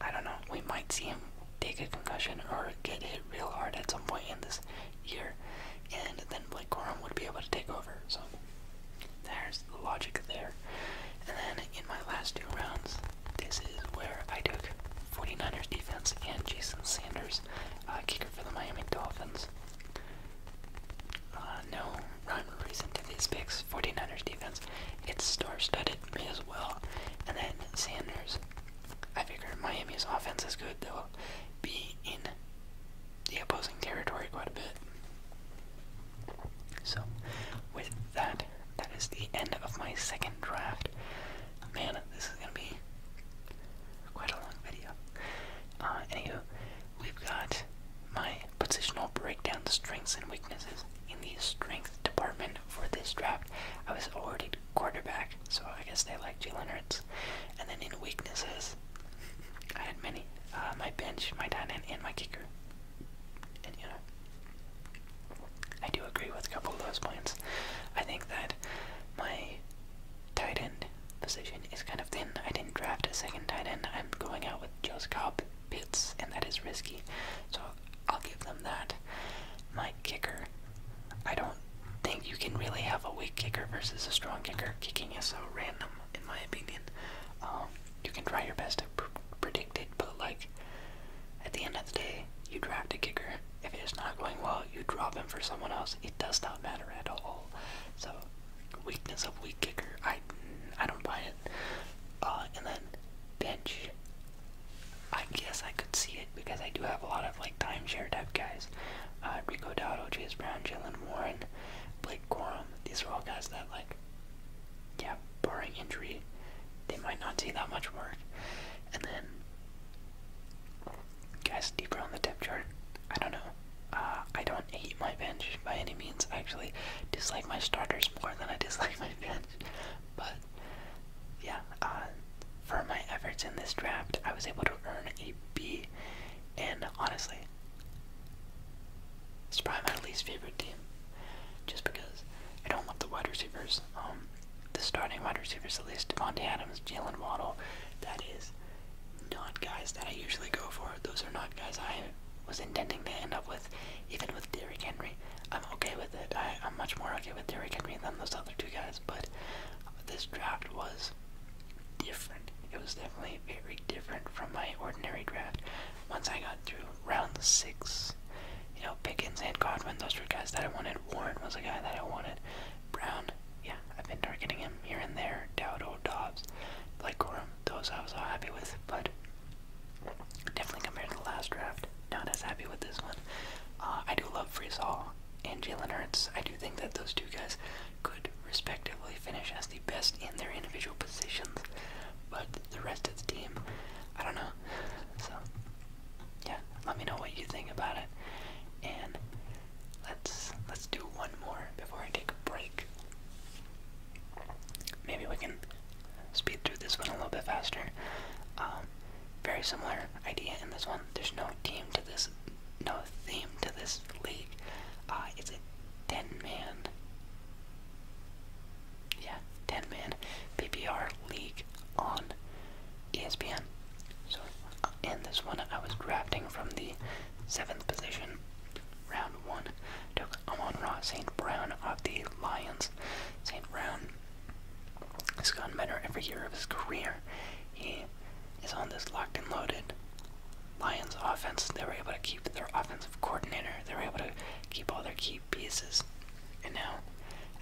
I don't know. We might see him take a concussion or get hit real hard at some point in this year, and then Blake Corum would be able to take over. So there's the logic there. And then in my last two rounds, this is where I took 49ers defense and Jason Sanders, uh, kicker for the Miami Dolphins. Uh, no rhyme or reason to these picks. 49ers defense, it's star-studded, as well. And then Sanders, I figure Miami's offense is good. They'll be in the opposing territory quite a bit. So, with that, that is the end of my second draft. Man, this is gonna be quite a long video. Uh, anywho, we've got my positional breakdown, the strengths and weaknesses in the strength department for this draft. I was already quarterback, so I guess they like Jalen Hurts. And then in weaknesses, I had many. Uh, my bench, my tight end, and my kicker. And I do agree with a couple of those points. I think that my tight end position is kind of thin. I didn't draft a second tight end. I'm going out with Joe's Cobb Pitts, and that is risky. So I'll give them that. My kicker, I don't think you can really have a weak kicker versus a strong kicker. Kicking is so random, in my opinion. Um, you can try your best to predict it, but like at the end of the day, you draft a kicker. If it is not going well, you drop him for someone else. It does not matter at all. So weakness of weak kicker, I I don't buy it. Uh, and then bench. I guess I could see it because I do have a lot of like timeshare type guys. Uh, Rico Dowdle, Chase Brown, Jalen Warren, Blake Corum. These are all guys that like yeah, barring injury, they might not see that much work. And then, guys, deeper on the depth chart, I don't know. Uh, I don't hate my bench by any means. actually dislike my starters more than I dislike my bench. But yeah, uh, for my efforts in this draft, I was able to earn a B, and honestly, it's probably my least favorite team, just because I don't love the wide receivers. Um, the starting wide receivers, at least Devontae Adams, Jalen Waddle, that is not guys that I usually go for. Those are not guys I was intending to end up with, even with Derrick Henry. I'm okay with it. I'm much more okay with Derrick Henry than those other two guys, but this draft was different. It was definitely very different from my ordinary draft. Once I got through round six. You know, Pickens and Godwin, those two guys that I wanted. Warren was a guy that I wanted. Brown, yeah, I've been targeting him here and there. Dowdo, Dobbs, Blake Corum, those I was all happy with, but definitely compared to the last draft, not as happy with this one. Uh, I do love Friesall and Jalen Hurts. I do think that those two guys could respectively finish as the best in their individual positions, but the rest of the team. I don't know. So, yeah, let me know what you think about it, and let's let's do one more before I take a break. Maybe we can speed through this one a little bit faster. Um, very similar idea in this one. There's no team to this, no theme to this league. Uh, it's a ten-man yeah, 10 man PPR league on ESPN. So, in uh, this one, I was drafting from the seventh position, round one. Took Amon Ross St. Brown of the Lions. St. Brown has gotten better every year of his career. He is on this locked and loaded Lions offense. They were able to keep their offensive coordinator. They were able to keep all their key pieces. And now,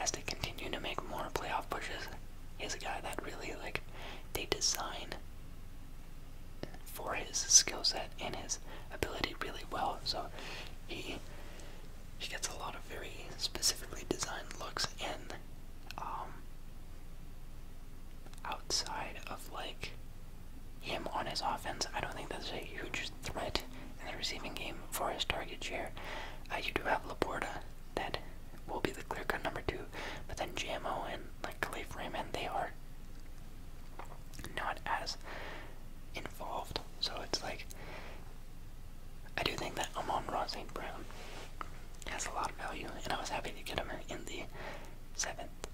as they continue to make more playoff pushes, he's a guy that really like they design for his skill set and his ability really well. So he he gets a lot of very specifically designed looks and um outside of like him on his offense. I don't think that's a huge threat in the receiving game for his target share. Uh, you do have Laporta, that will be the clear cut number two, but then JMO and like Khalif Freeman, they are not as involved. So it's like I do think that Amon Ross St. Brown has a lot of value, and I was happy to get him in the seventh seventh,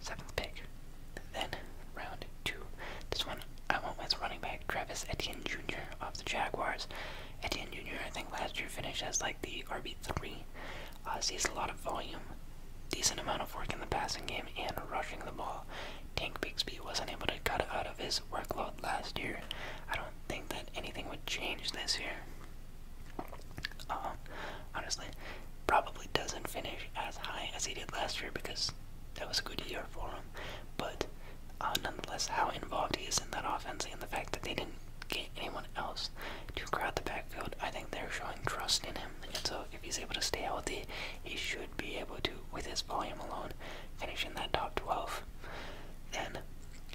seventh pick. Then round two. This one I went with running back Travis Etienne Jr. of the Jaguars. Etienne Jr. I think last year finished as like the RB three. Uh, sees a lot of volume, decent amount of work in the passing game and rushing the ball. Tank Bixby wasn't able to cut out of his workload last year. I don't think that anything would change this year. Uh, honestly, Probably doesn't finish as high as he did last year because that was a good year for him. But uh, nonetheless, how involved he is in that offense and the fact that they didn't get anyone else to crowd the backfield, I think they're showing trust in him. And so if he's able to stay healthy, he should be able to, with his volume alone, finish in that top 12. And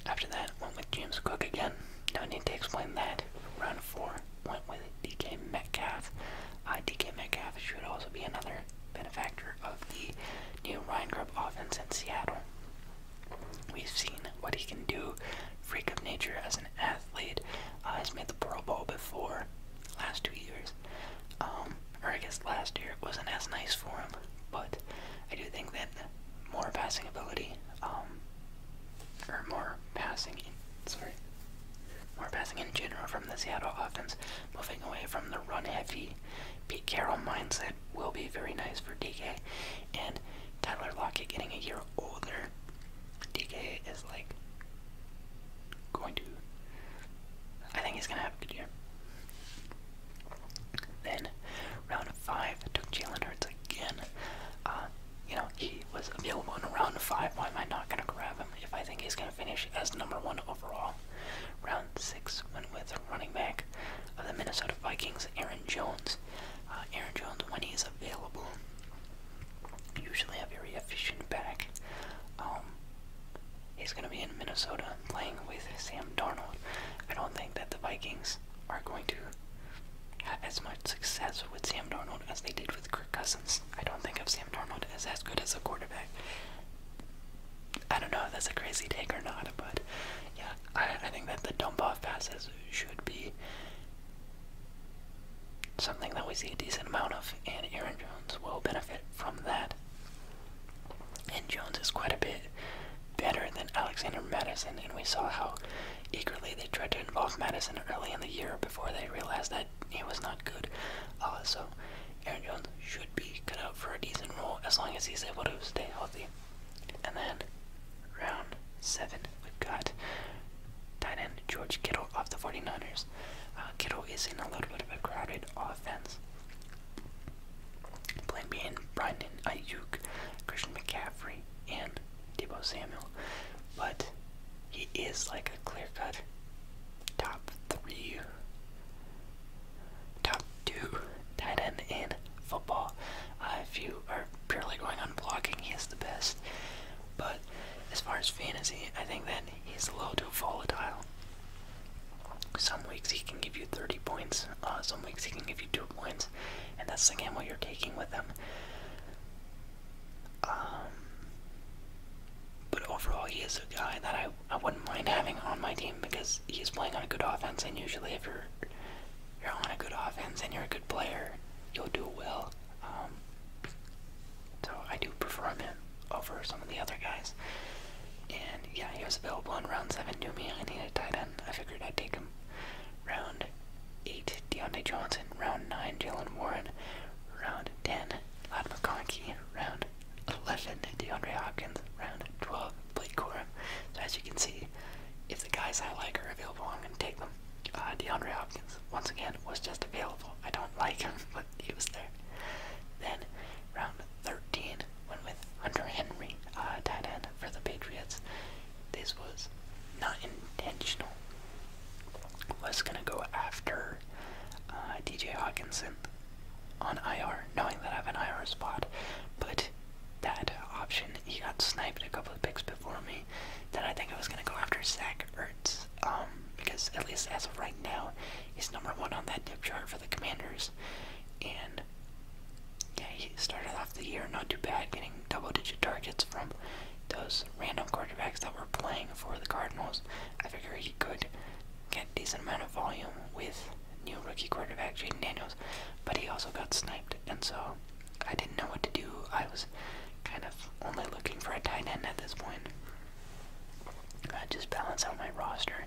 after that, along with James Cook again. No need to explain that. Round 4 went with DK Metcalf. Uh, DK Metcalf should also be another benefactor of the new Ryan Grubb offense in Seattle. We've seen what he can do. Freak of nature as an athlete. Uh, has made the Pro Bowl before. Last two years. Um, or I guess last year wasn't as nice for him. But I do think that more passing ability, um, or more passing, sorry, we're passing in general from the Seattle offense, moving away from the run heavy Pete Carroll mindset will be very nice for DK. And Tyler Lockett getting a year older, DK is like going to. I think he's going to have a good year. Then, round of five took Jalen Hurts again. Uh, you know, he was available in round five. Why am I not going to grab him? if I think he's going to finish as number one overall. Round six went with running back of the Minnesota Vikings, Aaron Jones. Uh, Aaron Jones, when he's available, usually a very efficient back. Um, he's going to be in Minnesota playing with Sam Darnold. I don't think that the Vikings are going to have as much success with Sam Darnold as they did with Kirk Cousins. I don't think of Sam Darnold as as good as a quarterback. I don't know if that's a crazy take or not, but yeah, I, I think that the dump off passes should be something that we see a decent amount of, and Aaron Jones will benefit from that. And Jones is quite a bit better than Alexander Madison, and we saw how eagerly they tried to involve Madison early in the year before they realized that. It was not good. Uh, so Aaron Jones should be cut out for a decent role as long as he's able to stay healthy. And then round seven, we've got tight end George Kittle of the 49ers. Uh, Kittle is in a little bit of a crowded offense. Plan being Brandon Ayuk, Christian McCaffrey, and Debo Samuel. But he is like a clear cut top three, top two tight end in football. Uh, if you are purely going on blocking, he is the best. But as far as fantasy, I think that he's a little too volatile. Some weeks he can give you 30 points, uh, some weeks he can give you 2 points, and that's the gamble you're taking with him. Um, but overall, he is a guy that I, I wouldn't mind having on my team because he's playing on a good offense, and usually, if you're you're on a good offense and you're a good player, you'll do well. Um, so I do prefer him over some of the other guys. And yeah, he was available in round seven to me. I needed a tight end. I figured I'd take him. Round eight, Deontay Johnson. Round nine, Jalen Warren. Round ten, Lad McConkey, round 11. DeAndre Hopkins, round 12. Blake Corum. So as you can see, if the guys I like are available, I'm going to take them. Uh, DeAndre Hopkins, once again, was just available. I don't like him, but he was there. Then, round 13, went with Hunter Henry, uh, tight end for the Patriots. This was not intentional. Was going to go after uh, DJ Hawkinson on IR, knowing that I have an IR spot. But that option, he got sniped a couple of picks before me. Then I think I was gonna go after Zach Ertz, um, because at least as of right now, he's number one on that depth chart for the Commanders, and yeah, he started off the year not too bad, getting double-digit targets from those random quarterbacks that were were playing for the Cardinals, I figure he could get a decent amount of volume with new rookie quarterback Jaden Daniels, but he also got sniped, and so I didn't know what to do. I was kind of only looking for a tight end at this point. I just balance out my roster,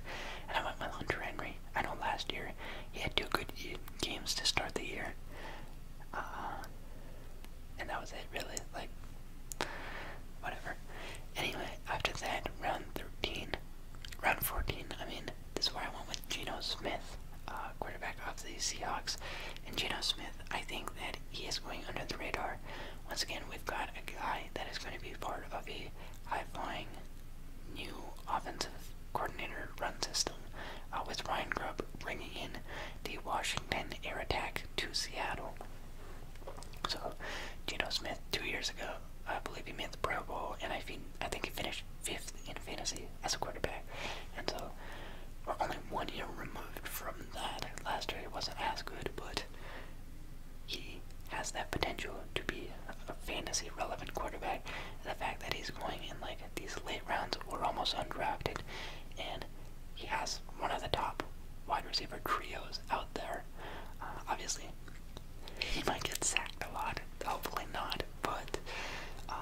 and I went with Hunter Henry. I know last year he had two good games to start the year, uh, and that was it really. Like whatever. Anyway, after that, round 13, round 14, I mean, this is where I went with Geno Smith, uh, quarterback of the Seahawks. And Geno Smith, I think that he is going under the radar. Once again, we've got a guy that is going to be part of a high-flying new offensive coordinator run system, uh, with Ryan Grubb bringing in the Washington air attack to Seattle. So, Geno Smith, two years ago, I believe he made the Pro Bowl, and I, think he finished fifth in fantasy as a quarterback. And so, we're only one year removed from that. Last year he wasn't as good, but he has that potential to be a fantasy relevant quarterback. The fact that he's going in like these late rounds, we're almost undrafted, and he has one of the top wide receiver trios out there there. Uh, obviously, he might get sacked a lot. Hopefully not. But uh,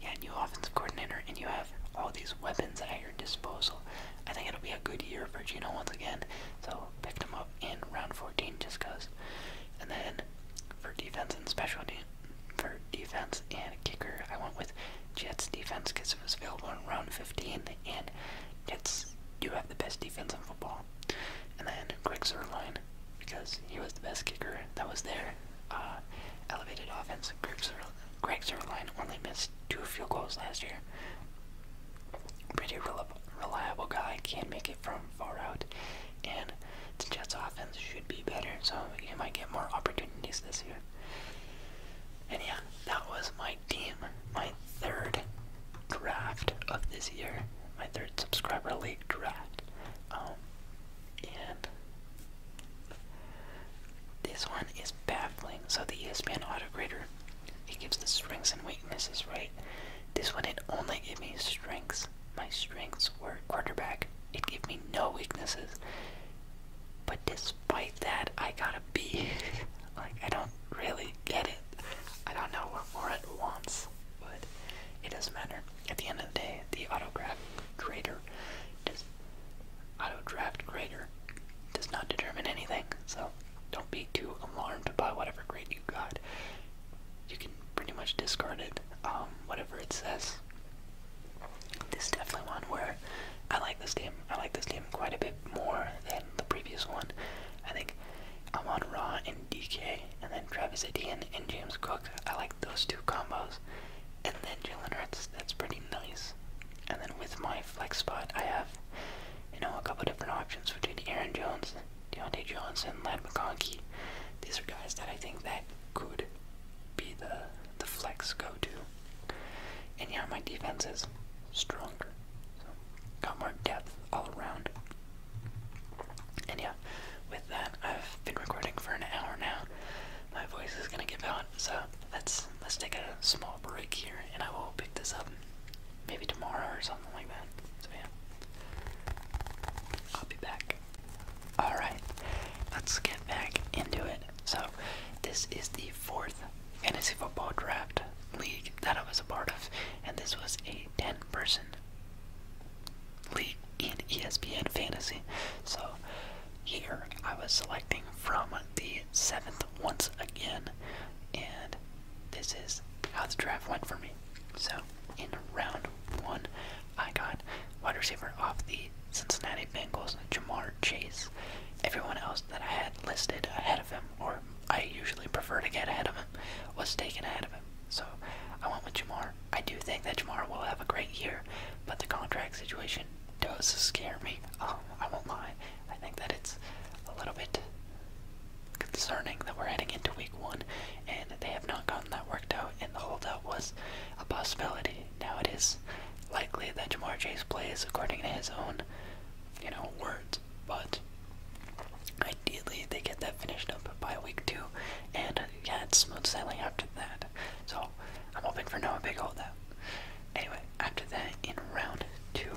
yeah, new offensive coordinator, and you have all these weapons at your disposal. I think it'll be a good year for Gino once again. So picked him up in round 14 just cause. And then for defense and special de for defense and kicker, I went with Jets defense because it was available in round 15, and Jets do have the best defense in football. And then Greg Zerline, because he was the best kicker that was there. Uh, elevated offense. Greg, Zer Greg Zerline only missed two field goals last year. Pretty reliable, reliable guy, can make it from far out. And the Jets' offense should be better, so he might get more opportunities this year. And yeah, that was my team, my third draft of this year, my third subscriber league draft. Um, and this one is baffling. So the ESPN autograder, it gives the strengths and weaknesses, right? This one it only gave me strengths. My strengths were quarterback. It gave me no weaknesses. But this despite that, I got to be like, I don't really get it. I don't know what more it wants, but it doesn't matter. At the end of the day, the autograph grader, just auto grader, does not determine anything. So don't be too alarmed by whatever grade you got. You can pretty much discard it, um, whatever it says. This is definitely one where I like this game. I like this game quite a bit more than the previous one. I think I'm Amon Raw and DK, and then Travis Etienne and James Cook. I like those two combos. And then Jalen Hurts, that's pretty nice. And then with my flex spot, I have, you know, a couple different options between Aaron Jones, Deontay Johnson, Lad McConkey. These are guys that I think that could be the the flex go-to. And yeah, my defense is stronger. So, got more depth all around. And yeah, with that, I've been recording for an hour now. My voice is gonna give out, so let's let's take a small break here, and I will pick this up maybe tomorrow or something like that. So yeah, I'll be back. All right, let's get back into it. So this is the fourth fantasy football draft league that I was a part of, and this was a 10 person league in ESPN Fantasy. So here I was selecting from the seventh once again, and this is how the draft went for me. So in round one, I got wide receiver off the Cincinnati Bengals, Jamar Chase. Everyone else that I had listed ahead him, or I usually prefer to get ahead of him, was taken ahead of him. So I went with Jamar. I do think that Jamar will have a great year, but the contract situation does scare me. Oh, I won't lie. I think that it's a little bit concerning that we're heading into week one and they have not gotten that worked out and the holdout was a possibility. Now it is likely that Jamar Chase plays according to his own, you know, words but ideally they get that finished up by week two, and yeah, smooth sailing after that. So I'm hoping for no big holdout. Anyway, after that, in round two,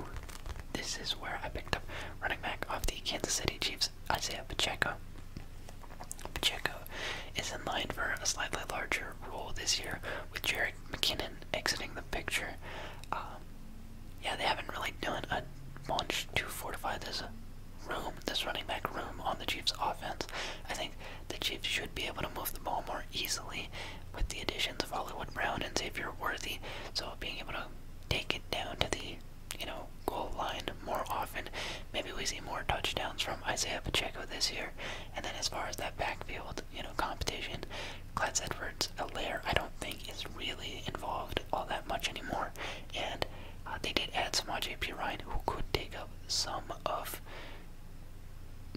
this is where I picked up running back off the Kansas City Chiefs, Isaiah Pacheco. Pacheco is in line for a slightly larger role this year with Jared McKinnon exiting the picture. Um, yeah, they haven't really done a bunch to fortify this room, this running back room on the Chiefs' offense. I think the Chiefs should be able to move the ball more easily with the additions of Hollywood Brown and Xavier Worthy. So being able to take it down to the, you know, goal line more often. Maybe we see more touchdowns from Isaiah Pacheco this year. And then as far as that backfield, you know, competition, Clyde's Edwards Alaire, I don't think, is really involved all that much anymore. And uh, they did add Samaj P. Ryan, who could take up some of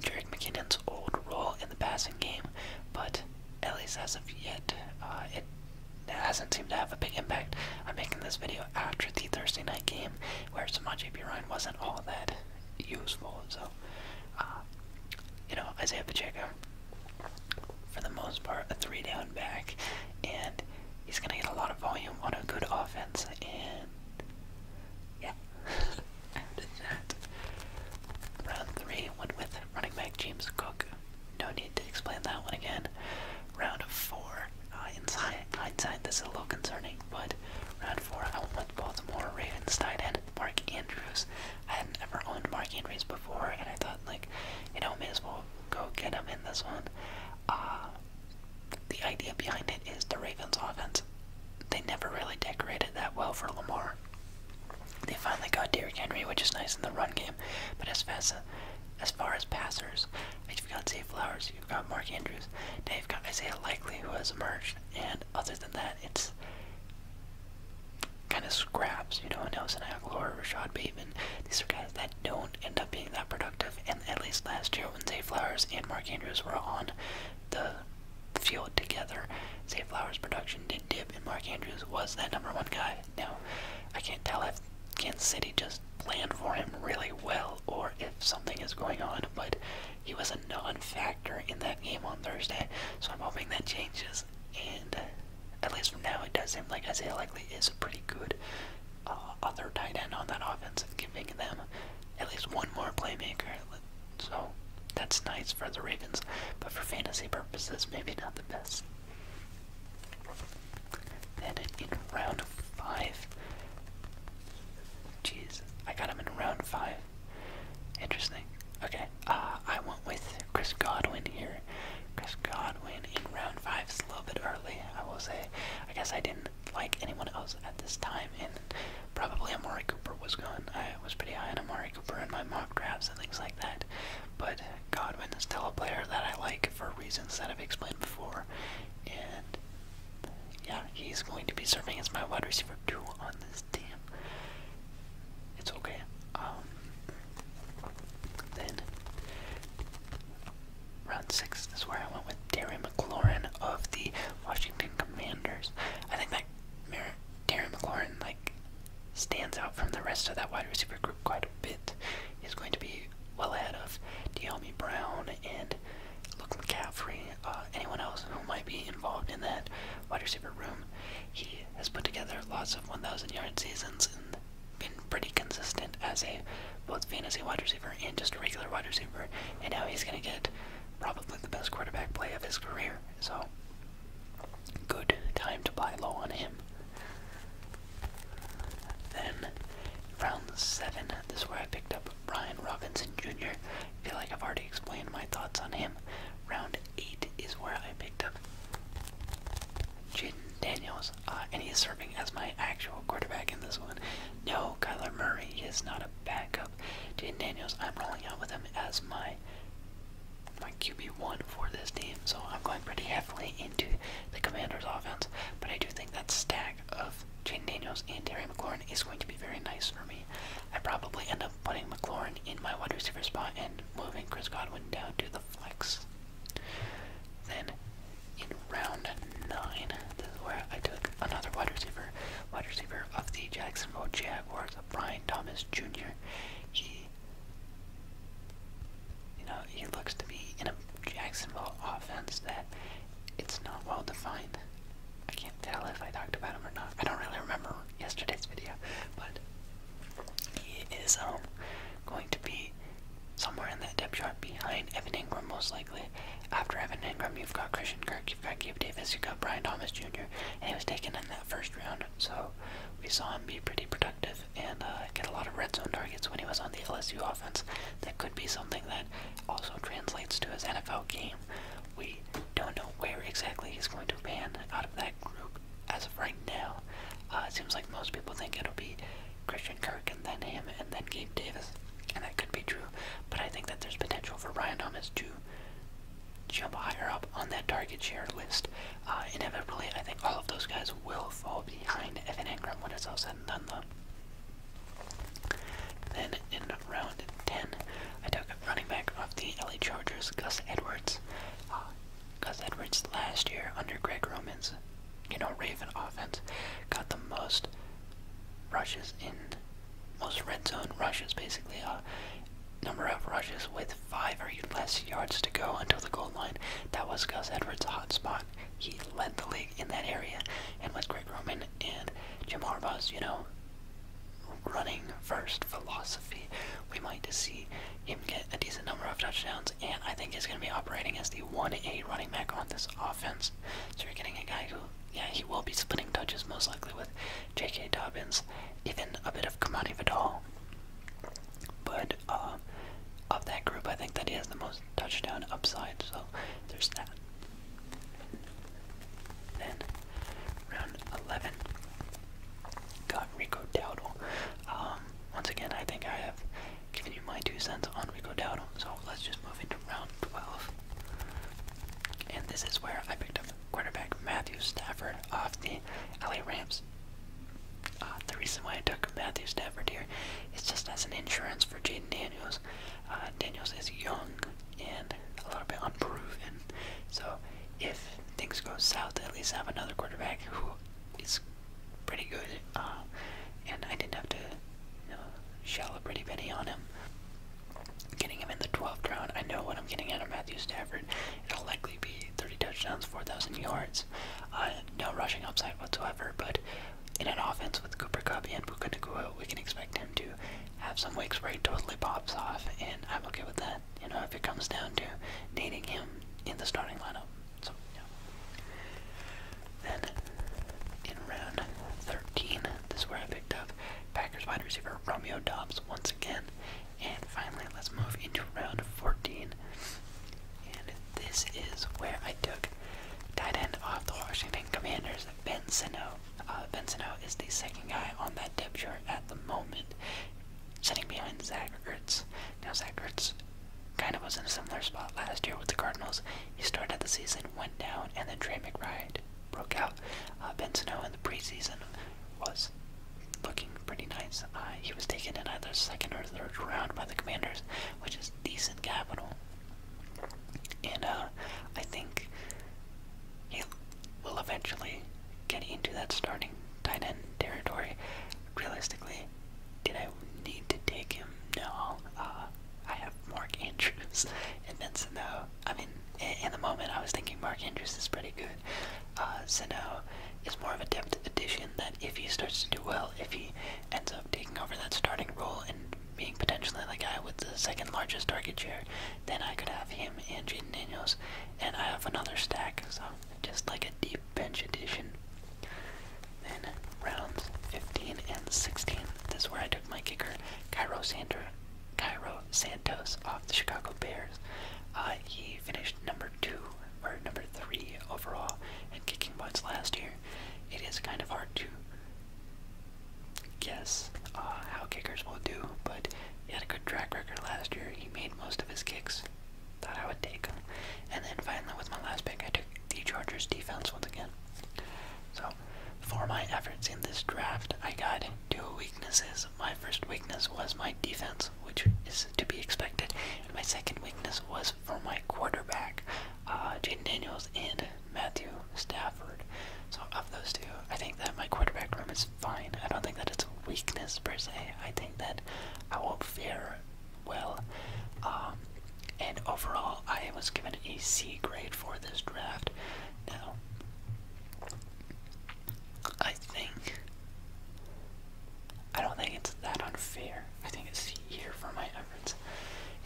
Jerick McKinnon's old role in the passing game, but at least as of yet, uh, it hasn't seemed to have a big impact. I'm making this video after the Thursday night game, where Samaj P. Ryan wasn't all that useful. So, uh, you know, Isaiah Pacheco, for the most part, a three down back, and he's going to get a lot of volume on a good offense. And yeah, after that, round three went with running back James Cook. No need to explain that one again. Round four, uh, in hindsight, this is a little concerning, but round four, I will put Baltimore Ravens tight end Mark Andrews. I hadn't ever owned Mark Andrews before, and I thought, like, you know, may as well go get him in this one. Uh, the idea behind it is the Ravens' offense. They never really decorated that well for Lamar. They finally got Derrick Henry, which is nice in the run game, but as fast as, as far as passers, you've got Zay Flowers, you've got Mark Andrews, Dave got Isaiah Likely, who has emerged, and other than that, it's kind of scraps, you know, I Nelson Aguilar, Rashad Bateman. These are guys that don't end up being that productive. And at least last year when Zay Flowers and Mark Andrews were on the field together, Zay Flowers' production did dip, and Mark Andrews was that number one guy. Now, I can't tell if Kansas City just planned for him really well or if something is going on, but he was a non-factor in that game on Thursday, so I'm hoping that changes and uh, at least from now, it does seem like Isaiah Likely is a pretty good other uh, tight end on that offense, giving them at least one more playmaker. So that's nice for the Ravens, but for fantasy purposes, maybe not the best. Then in round five, jeez, I got him in round five. Interesting. Okay, uh, I went with Chris Godwin here. Chris Godwin in round five is a little bit early, I will say. I guess I didn't like anyone else at this time, and probably Amari Cooper was gone. I was pretty high on Amari Cooper in my mock drafts and things like that. But Godwin is still a player that I like for reasons that I've explained before, and yeah, he's going to be serving as my wide receiver two on this team. It's okay. Um, then, round six is where I went with Darren McLaurin of the Washington Commanders. I think that Darren McLaurin like stands out from the rest of that wide receiver group quite a bit. He's going to be well ahead of De'Ami Brown and Look McCaffrey. Uh, anyone else who might be involved in that wide receiver room. He has put together lots of 1,000 yard seasons and been pretty consistent as a both fantasy wide receiver and just a regular wide receiver. And now he's going to get probably the best quarterback play of his career. So, good time to buy low on him. Then, round seven, this is where I picked up Brian Robinson Jr. I feel like I've already explained my thoughts on him. Round 8 is where I picked up Jaden Daniels, uh, and he's serving as my actual quarterback in this one. No, Kyler Murray is not a backup. Jaden Daniels, I'm rolling out with him as my my QB1 for this team, so I'm going pretty heavily into the Commanders offense, but I do think that stack of Jaden Daniels and Terry McLaurin is going to be very nice for me. I probably end up putting McLaurin in my wide receiver spot and moving Chris Godwin down to the flex. Then in round nine, this is where I took another wide receiver, wide receiver of the Jacksonville Jaguars, Brian Thomas Jr. He, you know, he looks to be in a Jacksonville offense that it's not well defined. I can't tell if I talked about him or not. I don't really remember yesterday's video, but he is um, going to be somewhere in that depth chart behind Evan Ingram most likely. After Evan Ingram, you've got Christian Kirk, you've got Gabe Davis, you've got Brian Thomas Jr. and he was taken in that first round, so we saw him be pretty productive and uh, get a lot of red zone targets when he was on the LSU offense. That could be something that also translates to his NFL game. We don't know where exactly he's going to land out of that group, as of right now, uh, it seems like most people think it'll be Christian Kirk and then him and then Gabe Davis, and that could be true. But I think that there's potential for Ryan Thomas to jump higher up on that target share list. Uh, inevitably, I think all of those guys will fall behind Evan Engram when it's all said and done, Then in round 10, I took a running back of the LA Chargers, Gus Edwards. Uh, Gus Edwards last year under Greg Roman's, you know, Raven offense got the most rushes in, most red zone rushes, basically, a uh, number of rushes with five or less yards to go until the goal line. That was Gus Edwards' hot spot. He led the league in that area, and was Greg Roman and Jim Harbaugh's, you know, running first philosophy we might see him get a decent number of touchdowns, and I think he's going to be operating as the 1A running back on this offense. So you're getting a guy who, yeah, he will be splitting touches most likely with J.K. Dobbins, even a bit of Kamani Vidal. But um, of that group, I think that he has the most touchdown upside, so there's that. Then, round 11, got Rico Dowdle. Um, once again, I think I have given you my two cents on Rico Dowdle, so let's just move into round 12. And this is where I picked up quarterback Matthew Stafford off the LA Rams. Uh, the reason why I took Matthew Stafford here is just as an insurance for Jaden Daniels. Uh, Daniels is young and a little bit unproven, so if things go south, at least have another quarterback who is pretty good. Uh, and I didn't have to shell a pretty penny on him. Getting him in the 12th round, I know what I'm getting out of Matthew Stafford. It'll likely be 30 touchdowns, 4,000 yards. Uh, no rushing upside whatsoever, but in an offense with Cooper Cup and Puka Nakua, we can expect him to have some weeks where he totally pops off, and I'm okay with that, you know, if it comes down to needing him in the starting lineup. So, yeah. Then, in round 13, this is where I picked up Packers wide receiver Romeo Dobbs once again. And finally, let's move into round 14. And this is where I took tight end off the Washington Commanders, Ben Sino. Uh, is the second guy on that depth chart at the moment, sitting behind Zach Ertz. Now Zach kind of was in a similar spot last year with the Cardinals. He started the season, went down, and then Trey McBride broke out. Uh, ben Snow in the preseason was looking pretty nice. Uh, he was taken in either second or third round by the Commanders, which is decent capital. And uh, I think he will eventually get into that starting tight end territory. Realistically, did I need to take him? No. Uh, I have Mark Andrews and then Sano. I mean, in the moment, I was thinking Mark Andrews is pretty good. Uh, Sano is more of a depth addition that if he starts to do well, if he ends up taking over that starting role and being potentially the guy with the second largest target share, then I could have him and Jaden Daniels, and I have another stack, so just like a deep bench addition. Then rounds 15 and 16. This is where I took my kicker, Cairo Sander, Cairo Santos, off the Chicago Bears. Uh, he finished number two or number three overall in kicking points last year. It is kind of hard to guess uh, how kickers will do, but he had a good track record last year. He made most of his kicks thought I would take. And then finally, with my last pick, I took the Chargers defense once again. So, for my efforts in this draft, I got two weaknesses. My first weakness was my defense, which is to be expected, my second weakness was for my quarterback, uh, Daniels and Matthew Stafford. So, of those two, I think that my quarterback room is fine. I don't think that it's a weakness per se. I think that I will not fear well. Um, and overall, I was given a C grade for this draft. Now, I think. I don't think it's that unfair. I think it's here for my efforts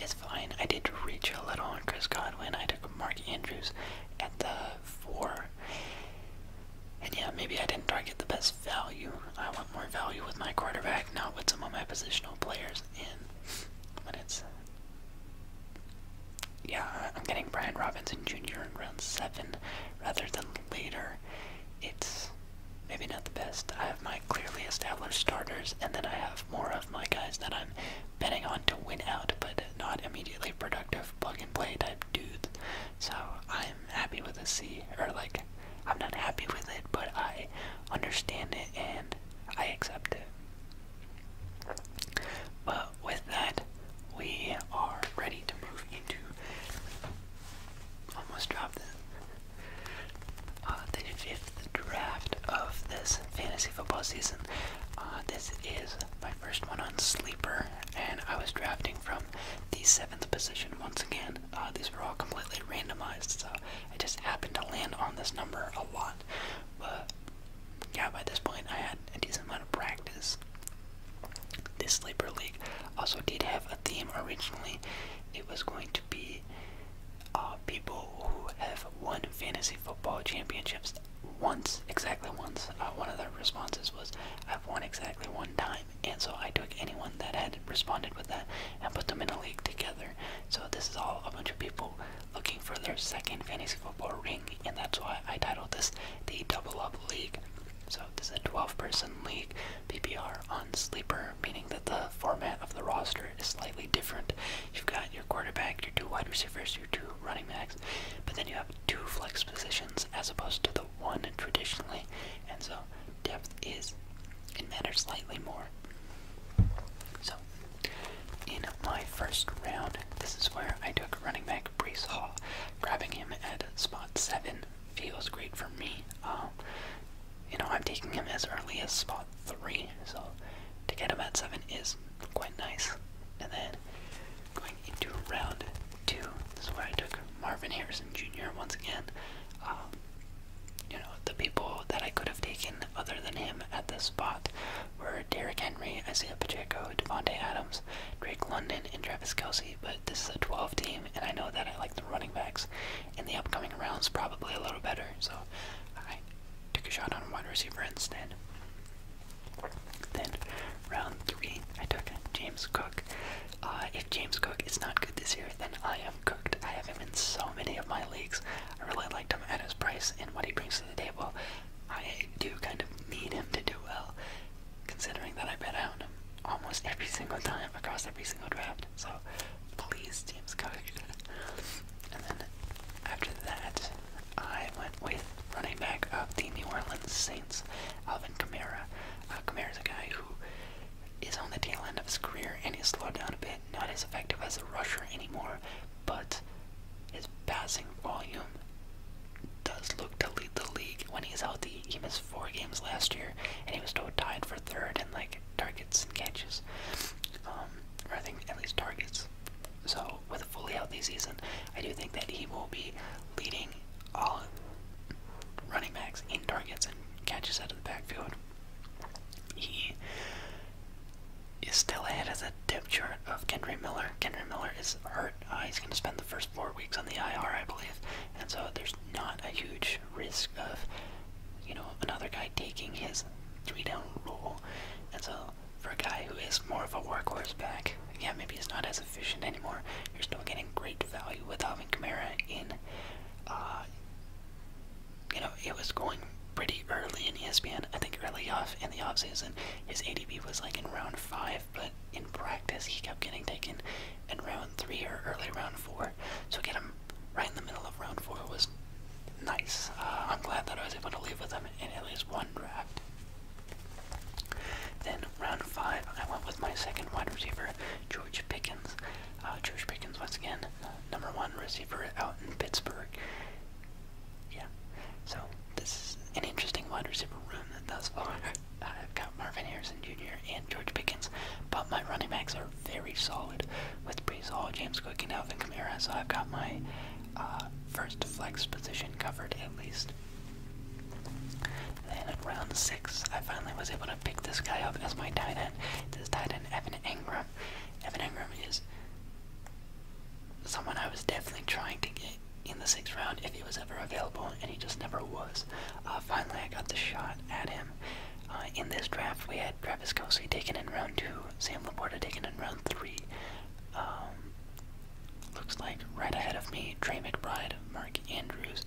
It's fine. I did reach a little on Chris Godwin. I took Mark Andrews at the 4. And yeah, maybe I didn't target the best value. I want more value with my quarterback, not with some of my positional players. In, but it's yeah, I'm getting Brian Robinson Jr. in round seven rather than later. It's maybe not the best. I have my clearly established starters, and then I have more of my guys that I'm betting on to win out, but not immediately productive plug and play type dudes. So I'm happy with a C or like I'm not happy with it, but I understand it and I accept it. But with that, we are ready to move into. Almost dropped the uh, fifth draft of this fantasy football season. Uh, this is my first one on Sleeper, and I was drafting from the seventh position once again. Uh, these were all completely randomized, so I just happened to land on this number a lot. But yeah, by this point, I had a decent amount of practice. This sleeper league also did have a theme originally. It was going to be uh, people who have won fantasy football championships once, exactly once. Uh, one of the responses was, I've won exactly one time and so I took anyone that had responded with that and put them in a league together. So this is all a bunch of people looking for their second fantasy football ring, and that's why I titled this the Double Up League. So this is a 12-person league PPR on sleeper, meaning that the format of the roster is slightly different. You've got your quarterback, your two wide receivers, your two running backs, but then you have two flex positions as opposed to the one traditionally, and so depth is, it matters slightly more. So, in my first round, this is where I took running back Bryce Hall. Grabbing him at spot 7 feels great for me. Um, you know, I'm taking him as early as spot 3, so to get him at 7 is quite nice. And then, going into round 2, this is where I took Marvin Harrison Jr. once again. Um, you know, the people that I could have taken other than him at this spot were Derrick Henry, Isaiah Pacheco, Devontae Adams, Drake London, and Travis Kelsey. But this is a 12 team, and I know that I like the running backs in the upcoming rounds probably a little better. So I took a shot on a wide receiver instead. Then, round three, I took James Cook. Uh, if James Cook is not good this year, then I am cooked. I have him in so many of my leagues. I really liked him at his price and what he brings to the table. I do kind of need him to do well, considering that I bet on him almost every single time across every single draft. So please, James Cook. and then after that, I went with running back of the New Orleans Saints, Alvin Kamara. Uh, Kamara is a guy who is on the tail end of his career and he's slowed down a bit, not as effective as a rusher anymore, but his passing volume does look to lead the league when he's healthy. He missed four games last year and he was tied for third in like targets and catches. Um, or I think at least targets. So with a fully healthy season, I do think that he will be leading all running backs in targets and catches out of the backfield. He is still ahead of the depth chart of Kendry Miller. Kendry Miller is hurt. Uh, he's going to spend the first four weeks on the IR, I believe, and so there's not a huge risk of, you know, another guy taking his three-down role. And so for a guy who is more of a workhorse back, yeah, maybe he's not as efficient anymore. You're still getting great value with Alvin Kamara in uh, you know, it was going pretty early in ESPN. I think early off in the off season, his ADP was like in round five, but in practice, he kept getting taken in round three or early round four. So getting him right in the middle of round four was nice. Uh, I'm glad that I was able to leave with him in at least one draft. Then round five, I went with my second wide receiver, George Pickens. Uh, George Pickens, once again, uh, number one receiver out in Pittsburgh. Yeah, so this is an interesting wide receiver room thus far. I've got Marvin Harrison Jr. and George Pickens, but my running backs are very solid with Brees Hall, James Cook, and Alvin Kamara, so I've got my uh, first flex position covered at least. Then at round six, I finally was able to Picked this guy up as my tight end. This tight end, Evan Ingram. Evan Ingram is someone I was definitely trying to get in the sixth round if he was ever available, and he just never was. Uh, finally, I got the shot at him. Uh, in this draft, we had Travis Kelsey taken in round two, Sam Laporta taken in round three. Um, looks like right ahead of me, Trey McBride, Mark Andrews,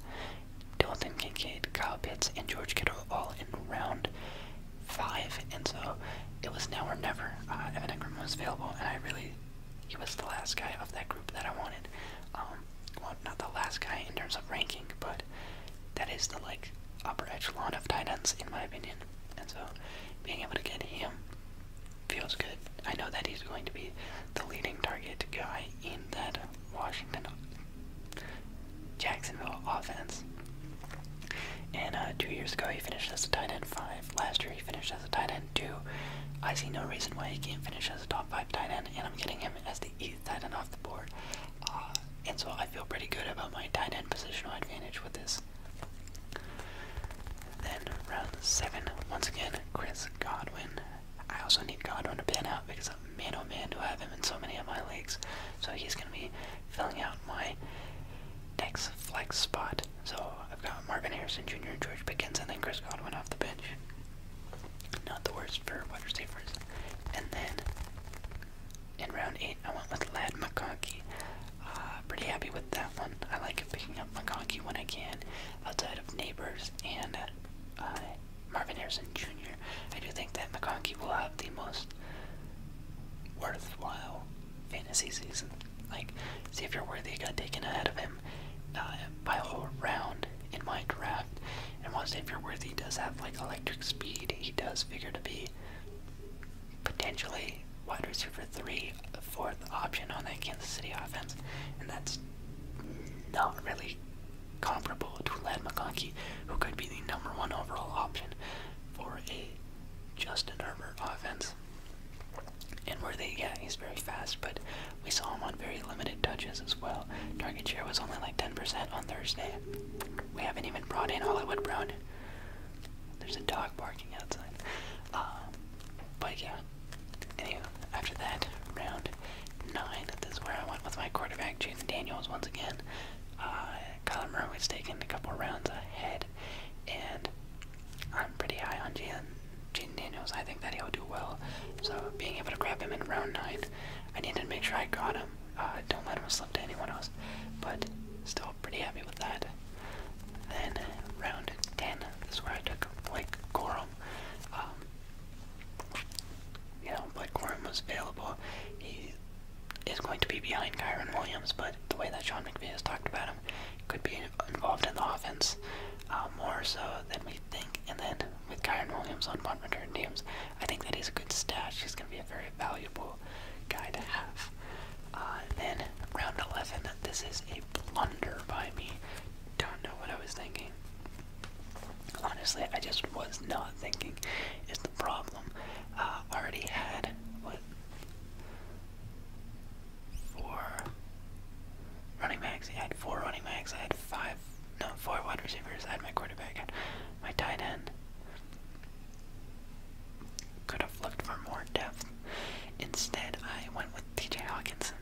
Dalton Kincaid, Kyle Pitts, and George Kittle all in round five, and so it was now or never. Uh, Evan Ingram was available, and I really, he was the last guy of that group that I wanted. Um, well, not the last guy in terms of ranking, but that is the like upper echelon of tight ends in my opinion. And so, being able to get him feels good. I know that he's going to be the leading target guy in that Washington Jacksonville offense. And uh, two years ago, he finished as a tight end five. Last year, he finished as a tight end two. I see no reason why he can't finish as a top five tight end, and I'm getting him as the eighth tight end off the board. Uh, and so I feel pretty good about my tight end positional advantage with this. Then round seven, once again, Chris Godwin. I also need Godwin to pan out because man oh man to have him in so many of my leagues. So he's going to be filling out my next flex spot. So I've got Marvin Harrison Jr., and George Pickens, and then Chris Godwin off the bench. Not the worst for wide receivers. And then in round 8, I went with Lad McConkey. Uh, pretty happy with that one. I like picking up McConkey when I can outside of neighbors and uh, Marvin Harrison Jr. I do think that McConkey will have the most worthwhile fantasy season. Like, Xavier Worthy got taken ahead of him uh, by a whole round in my draft. And while Xavier Worthy does have, like, electric speed, he does figure to be potentially wide receiver three, fourth option on that Kansas City offense. And that's not really comparable to Lad McConkey, who could be the number one overall option for a Justin Herbert offense. And where they, yeah, he's very fast, but we saw him on very limited touches as well. Target share was only like 10% on Thursday. We haven't even brought in Hollywood Brown. There's a dog barking outside. Um, but yeah, anyway, after that, round 9, this is where I went with my quarterback, Jaden Daniels, once again. Uh, Kyler was taking a couple rounds ahead, and I'm pretty high on Gian, Daniels. I think that he'll do well. So being able to grab him in round nine, I needed to make sure I got him. Uh, don't let him slip to anyone else. But still pretty happy with that. Then round ten, this is where I took Blake Corum. Um, you know, Blake Corum was available is going to be behind Kyron Williams, but the way that Sean McVay has talked about him, could be involved in the offense uh, more so than we think. And then with Kyron Williams on punt return teams, I think that he's a good stash. He's going to be a very valuable guy to have. Uh, then round 11, this is a blunder by me. Don't know what I was thinking. Honestly, I just was not thinking is the problem. I uh, already had what four running backs. I had four running backs. I had five, no, four wide receivers. I had my quarterback, I my tight end. Could have looked for more depth. Instead, I went with T.J. Hawkinson,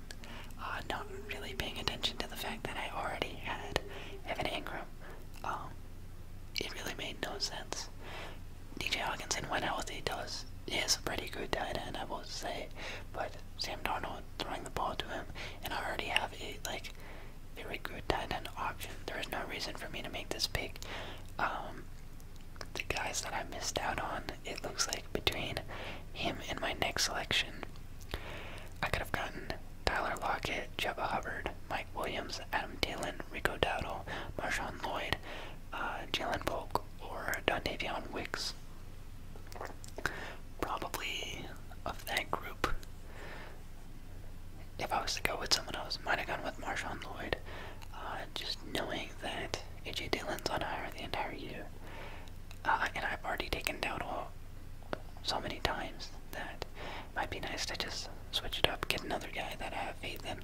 uh, not really paying attention to the fact that I already had Evan Ingram. Um, it really made no sense. DJ out when the does is a pretty good tight end, I will say. But Sam Darnold throwing the ball to him, and I already have a like very good tight end option. There is no reason for me to make this pick. Um, the guys that I missed out on, it looks like between him and my next selection, I could have gotten Tyler Lockett, Chuba Hubbard, Mike Williams, Adam Thielen, Rico Dowdle, Marshawn Lloyd, uh, Jalen Polk, or Dontavion Wicks. Probably of that group. If I was to go with someone else, might have gone with Marshawn Lloyd. Uh, just knowing that AJ Dillon's on hire the entire year, uh, and I've already taken Dowdle so many times that might be nice to just switch it up, get another guy that I have faith in.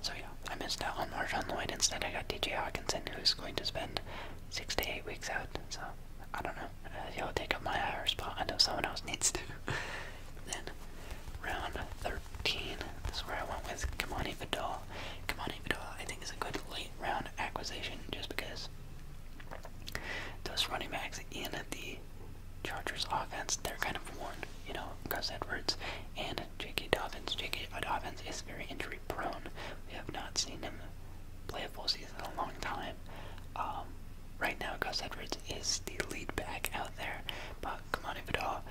So yeah, I missed out on Marshawn Lloyd. Instead, I got DJ Hawkinson, who's going to spend six to eight weeks out. So I don't know. if uh, he'll take up my higher spot. I know someone else needs to. then round 13. This is where I went with Kamani Vidal. Kamani Vidal, I think, is a good late round acquisition just because those running backs in at the Chargers offense, they're kind of worn, you know, Gus Edwards and J.K. Dobbins. J.K. Dobbins is very injury prone. We have not seen him play a full season in a long time. Um, right now, Gus Edwards is the lead back out there, but Kamani Vidal,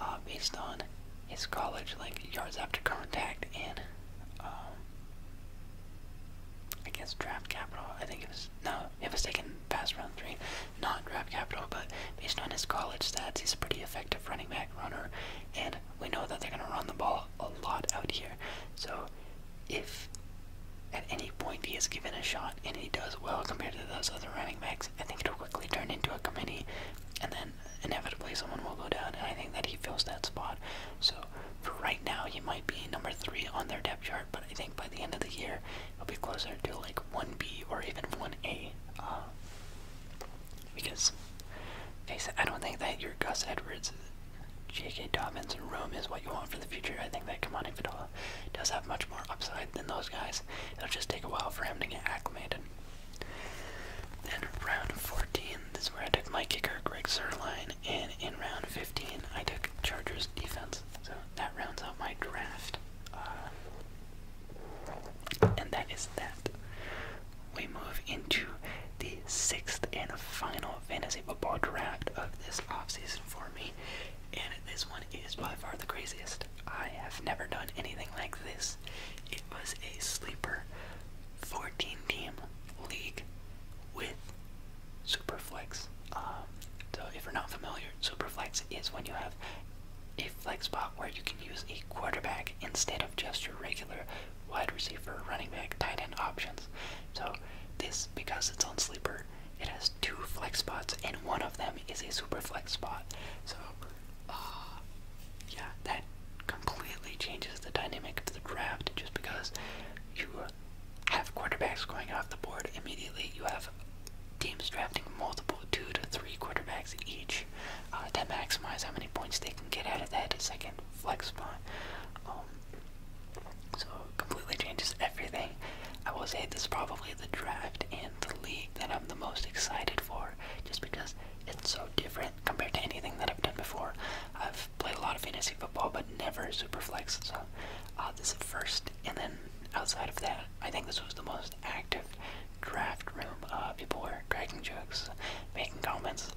uh, based on his college, like yards after contact and um, I guess draft capital, I think it was was no, it was taken past round three, not draft capital, but based on his college stats, he's a pretty effective running back runner, and we know that they're gonna run the ball a lot out here. So if at any point he is given a shot and he does well compared to those other running backs, I think it'll quickly turn into a committee and then inevitably someone will go down and I think that he fills that spot. So for right now he might be number three on their depth chart but I think by the end of the year, it'll be closer to like 1B or even 1A. Uh, because, I don't think that your Gus Edwards, J.K. Dobbins, and Rome is what you want for the future. I think that Kamani Fadola does have much more upside than those guys. It'll just take a while for him to get acclimated. Then round 14, is where I took my kicker, Greg Zerline and in round 15, I took Chargers defense, so that rounds out my draft. Uh, and that is that. We move into the sixth and final fantasy football draft of this offseason for me, and this one is by far the craziest. I have never done anything like this. It was a sleeper 14 team league with Superflex. Um, so if you're not familiar, Superflex is when you have a flex spot where you can use a quarterback instead of just your regular wide receiver, running back, tight end options. So this, because it's on sleeper, it has two flex spots, and one of them is a superflex spot. So, uh, yeah, that completely changes the dynamic of the draft just because you have quarterbacks going off the board immediately. You have teams drafting multiple two to three quarterbacks each uh, to maximize how many points they can get out of that second flex spot. Um, so it completely changes everything. I will say this is probably the draft in the league that I'm the most excited for, just because it's so different compared to anything that I've done before. I've played a lot of fantasy football, but never super flex. So uh, this is first, and then outside of that, I think this was the most active draft room. Uh, people were cracking jokes, making comments,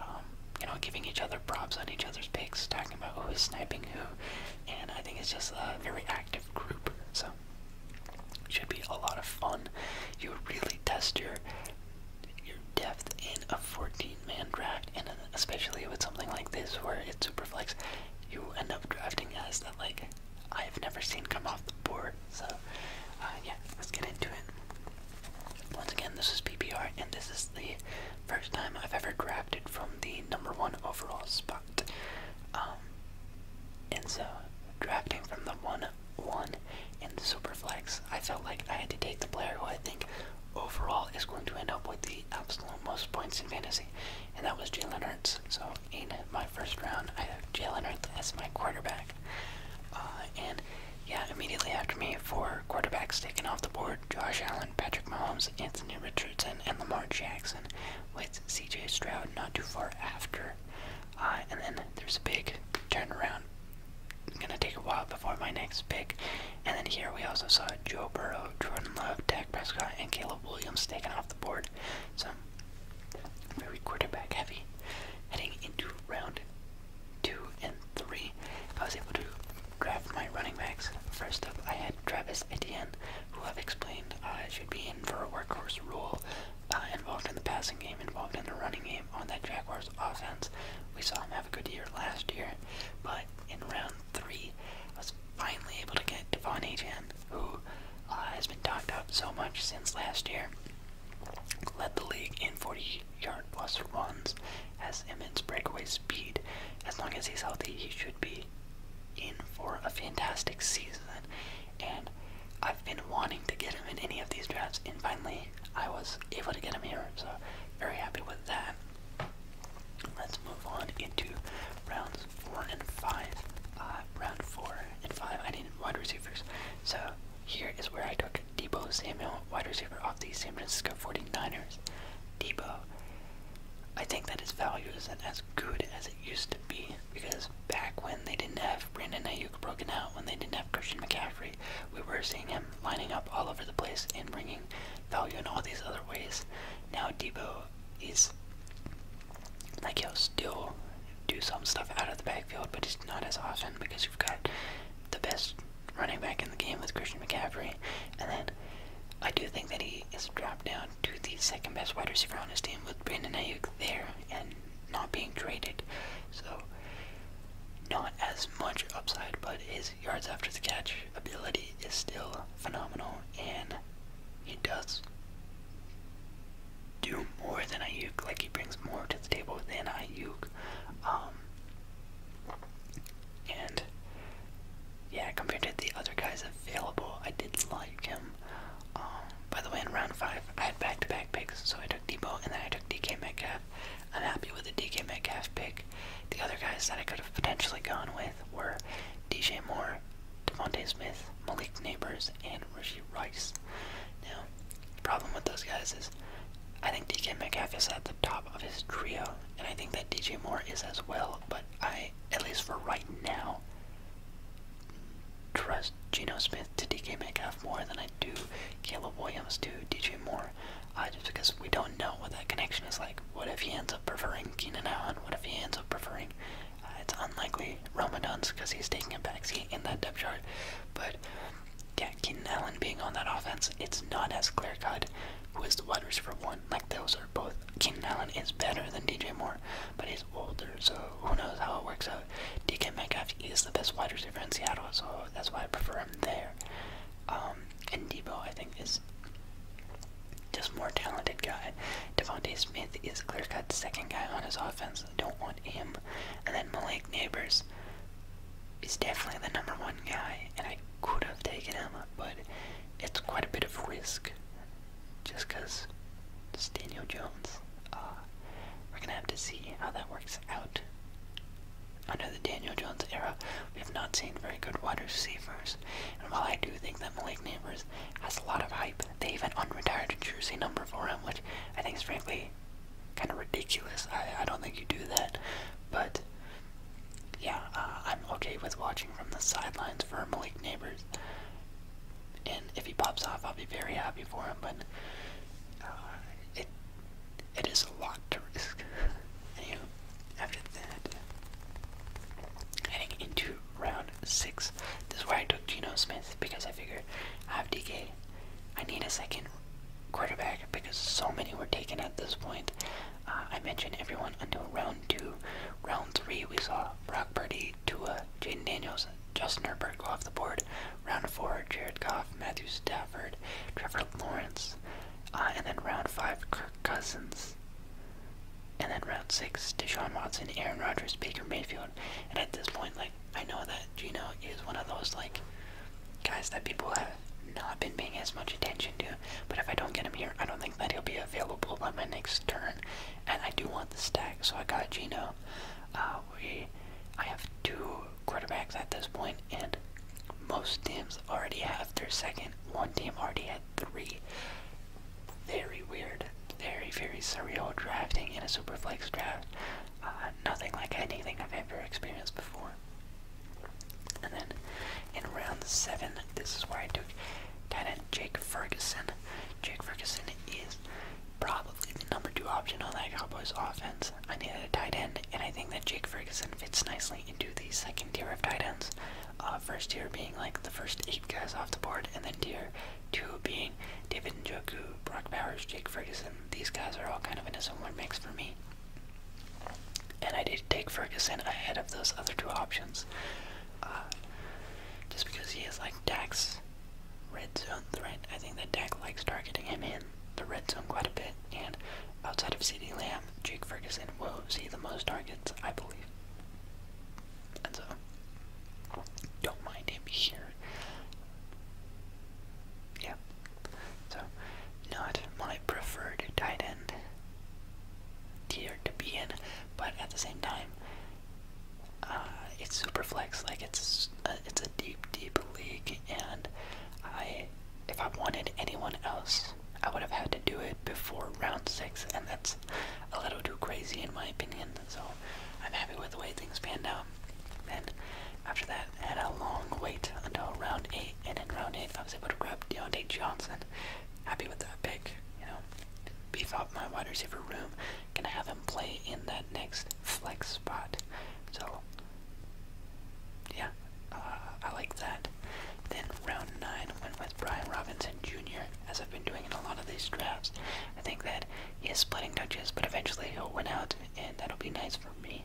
um, you know, giving each other props on each other's picks, talking about who is sniping who, and I think it's just a very active group. So, should be a lot of fun. You really test your your depth in a 14-man draft, and especially with something like this where it's super flex you end up drafting guys that like I've never seen come off the board. So uh, yeah, let's get into it. Once again, this is PPR, and this is the first time I've ever drafted from the number one overall spot. Um, and so drafting from the one one in the flex, I felt like I had to take the player who I think overall is going to end up with the the most points in fantasy, and that was Jalen Hurts. So in my first round, I have Jalen Hurts as my quarterback. Uh, and yeah, immediately after me, four quarterbacks taken off the board: Josh Allen, Patrick Mahomes, Anthony Richardson, and Lamar Jackson, with C.J. Stroud not too far after. Uh, and then there's a big turnaround. It's gonna take a while before my next pick. And then here we also saw Joe Burrow, Jordan Love, Dak Prescott, and Caleb Williams taken off the board. So very quarterback heavy heading into round two and three. I was able to draft my running backs. First up, I had Travis Etienne, who I've explained uh, should be in for a workhorse role, uh, involved in the passing game, involved in the running game on that Jaguars offense. We saw him have a good year last year, but in round three, I was finally able to get Devon Ajan, who uh, has been talked up so much since last year. Led the league in 40 yard plus runs, has immense breakaway speed. As long as he's healthy, he should be in for a fantastic season. And I've been wanting to get him in any of these drafts, and finally I was able to get him here, so very happy with that. Let's move on into round four and five. Uh, round four and five, I needed wide receivers. So here is where I took Debo Samuel, wide receiver off the San Francisco 49ers. Debo, I think that his value isn't as good as it used to be because back when they didn't have Brandon Ayuk broken out, when they didn't have Christian McCaffrey, we were seeing him lining up all over the place and bringing value in all these other ways. Now Debo is like he'll still do some stuff out of the backfield, but it's not as often because you've got the best running back in the game with Christian McCaffrey. And then I do think that he is dropped down to the second best wide receiver on his team with Brandon Ayuk there and not being traded. So not as much upside, but his yards after the catch ability is still phenomenal and he does do more than Ayuk. Like he brings more to the table than Ayuk. Um, and yeah, compared to the other guys available, I did like him. Um, by the way, in round five, I had back-to-back picks, so I took Debo and then I took DK Metcalf. I'm happy with the DK Metcalf pick. The other guys that I could have potentially gone with were DJ Moore, Devontae Smith, Malik Neighbors, and Rishi Rice. Now, the problem with those guys is I think DK Metcalf is at the top of his trio, and I think that DJ Moore is as well, but I, at least for right now, trust Geno Smith to DK Metcalf more than I do Caleb Williams to DJ Moore, uh, just because we don't know what that connection is like. What if he ends up? preferring Keenan Allen? What if he ends up preferring? Uh, it's unlikely Roman Duns because he's taking a backseat in that depth chart. But yeah, Keenan Allen being on that offense, it's not as clear cut who is the wide receiver one. Like those are both. Keenan Allen is better than DJ Moore, but he's older, so who knows how it works out. DK Metcalf is the best wide receiver in Seattle, so that's why I prefer him there. Um, and Debo, I think, is just more talented guy. Devonte Smith is clear-cut second guy on his offense. Don't want him. And then Malik Neighbors is definitely the number one guy, and I could have taken him, but it's quite a bit of risk just because it's Daniel Jones. Ah, we're going to have to see how that works out. Under the Daniel Jones era, we have not seen very good wide receivers, and while I do think that Malik Neighbors has a lot of hype. They even unretired jersey number for him, which I think is frankly kind of ridiculous. I, don't think you do that, but yeah, uh, I'm okay with watching from the sidelines for Malik Neighbors. And if he pops off, I'll be very happy for him. But uh, it it is a lot to risk. after that, heading into round six. This is where I took Geno Smith because I figured I have DK. I need a second quarterback because so many were taken at this point. Uh, I mentioned everyone until round two. Round three, we saw Brock Purdy, Tua, Jaden Daniels, Justin Herbert go off the board. Round four, Jared Goff, Matthew Stafford, Trevor Lawrence. Uh, and then round five, Kirk Cousins. And then round six, Deshaun Watson, Aaron Rodgers, Baker Mayfield. And at this point, like, I know that Gino is one of those, like, guys that people have not been paying as much attention to. But if I don't get him here, I don't think that he'll be available on my next turn. And I do want the stack, so I got Gino. Uh, we, I have two quarterbacks at this point, and most teams already have their second. One team already had three very weird, very, very surreal drafting in a Superflex draft. Uh, nothing like anything I've ever experienced before. And then in round 7, this is where I took tight end Jake Ferguson. Jake Ferguson is probably the number 2 option on that Cowboys offense. I needed a tight end, and I think that Jake Ferguson fits nicely into the second tier of tight ends. Uh, first tier being like the first eight guys off the board, and then tier two being David and Njoku, Brock Bowers, Jake Ferguson. These guys are all kind of in a similar mix for me. And I did take Ferguson ahead of those other two options. Uh, just because he is like Dak's red zone threat. I think that Dak likes targeting him in the red zone quite a bit. And outside of CeeDee Lamb, Jake Ferguson will see the most targets, I believe so, don't mind him here. Yeah. So, not my preferred tight end tier to be in, but at the same time, uh, it's super flex. Like it's a, uh, it's a deep, deep league, and I, if I wanted anyone else, I would have had to do it before round six, and that's a little too crazy in my opinion. So I'm happy with the way things panned out. Then after that, I had a long wait until round eight, and in round eight, I was able to grab Deontay Johnson. Happy with that pick, you know. Beef up my wide receiver room. Gonna have him play in that next flex spot. So yeah, uh, I like that. Then round nine went with Brian Robinson Jr., as I've been doing in a lot of these drafts. I think that he is splitting touches, but eventually he'll win out, and that'll be nice for me.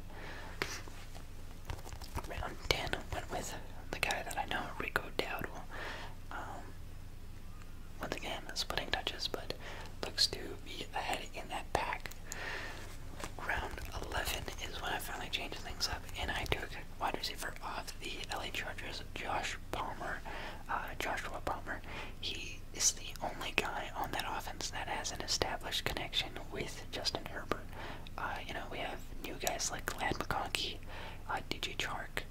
Round 10 went with the guy that I know, Rico Dowdle. Um, once again, splitting touches, but looks to be ahead in that pack. Round 11 is when I finally changed things up, and I took wide receiver off the LA Chargers, Josh Palmer, uh, Joshua Palmer, he is the only guy on that offense that has an established connection with Justin Herbert. Uh, you know, we have new guys like Glad McConkey, uh, DJ Chark,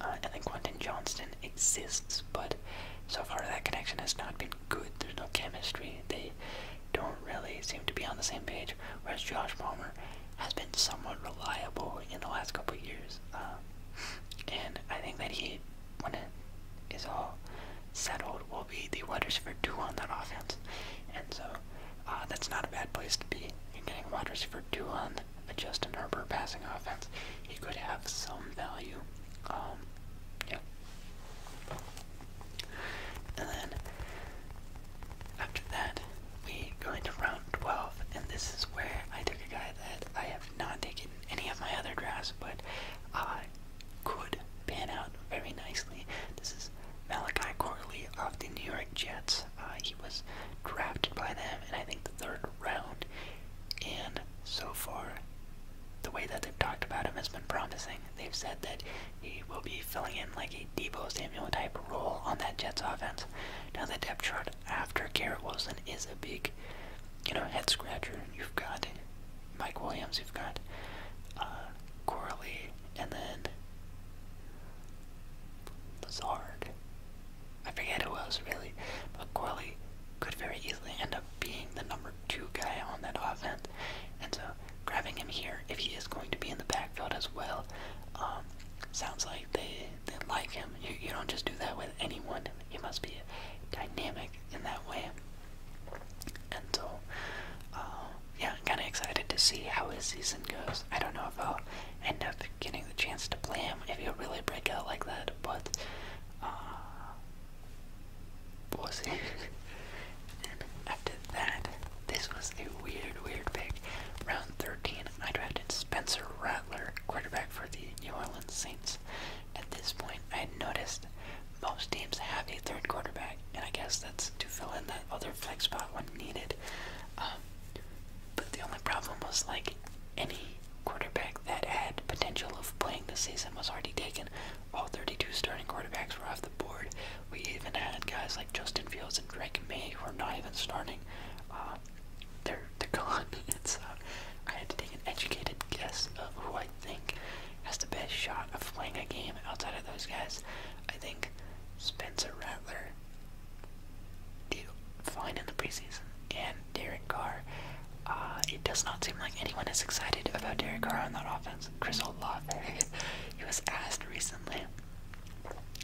uh, and then Quentin Johnston exists, but so far that connection has not been good. There's no chemistry. They don't really seem to be on the same page. Whereas Josh Palmer has been somewhat reliable in the last couple years. Um, and I think that he, when it is all settled, will be the wide receiver two on that offense. And so uh, that's not a bad place to be. You're getting wide receiver two on a Justin Herbert passing offense. He could have some value. Um, And then after that, we go into round 12, and this is where I took a guy that I have not taken any of my other drafts, but I could pan out very nicely. This is Malachi Corley of the New York Jets. Uh, he was drafted by them in, I think, the third round, and so far, the way that they've talked about him has been promising. They've said that he will be filling in like a Debo Samuel type role on that Jets offense. Now the depth chart after Garrett Wilson is a big, you know, head scratcher. You've got Mike Williams, you've got uh, Corley, and then Lazard. I forget who else really, but Corley could very easily end up being the number two guy on that offense. And so grabbing him here, if he is going to be in the backfield as well, um, sounds like they that like him. You, don't just do that with anyone. You must be dynamic in that way. And so, uh, yeah, I'm kind of excited to see how his season goes. I don't know if I'll end up getting the chance to play him if he really break out like that, but uh, we'll see. and after that, this was a weird, weird pick. Round 13, I drafted Spencer Rattler quarterback for the New Orleans Saints. At this point, I had noticed most teams have a third quarterback, and I guess that's to fill in that other flex spot when needed. Um, but the only problem was like any quarterback that had potential of playing this season was already taken. All 32 starting quarterbacks were off the board. We even had guys like Justin Fields and Drake May who are not even starting. Um, they're gone. It's I had to take an educated guess of who I think has the best shot of playing a game outside of those guys. I think Spencer Rattler did fine in the preseason, and Derek Carr. Uh, it does not seem like anyone is excited about Derek Carr on that offense. Chris Olave, he was asked recently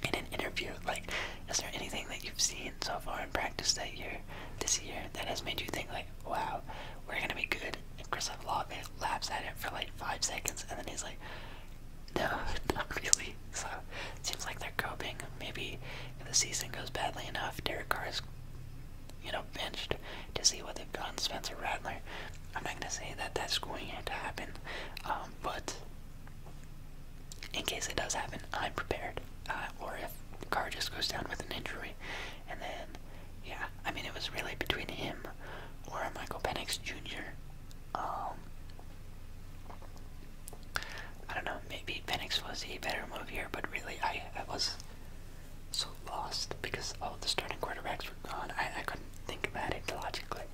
in an interview. Like, is there anything that you've seen so far in practice that year, this year, that has made you think like, wow, we're gonna be good? And Christoph Lave laughs at it for like five seconds, and then he's like, no, not really. So it seems like they're coping. Maybe if the season goes badly enough, Derek Carr is, you know, benched to see what they've gotten Spencer Rattler. I'm not gonna say that that's going to happen, um, but in case it does happen, I'm prepared. Uh, or if car just goes down with an injury, and then, yeah, I mean, it was really between him or Michael Penix Jr. Um, I don't know, maybe Penix was a better move here, but really, I, was so lost because all the starting quarterbacks were gone. I, I couldn't think about it logically.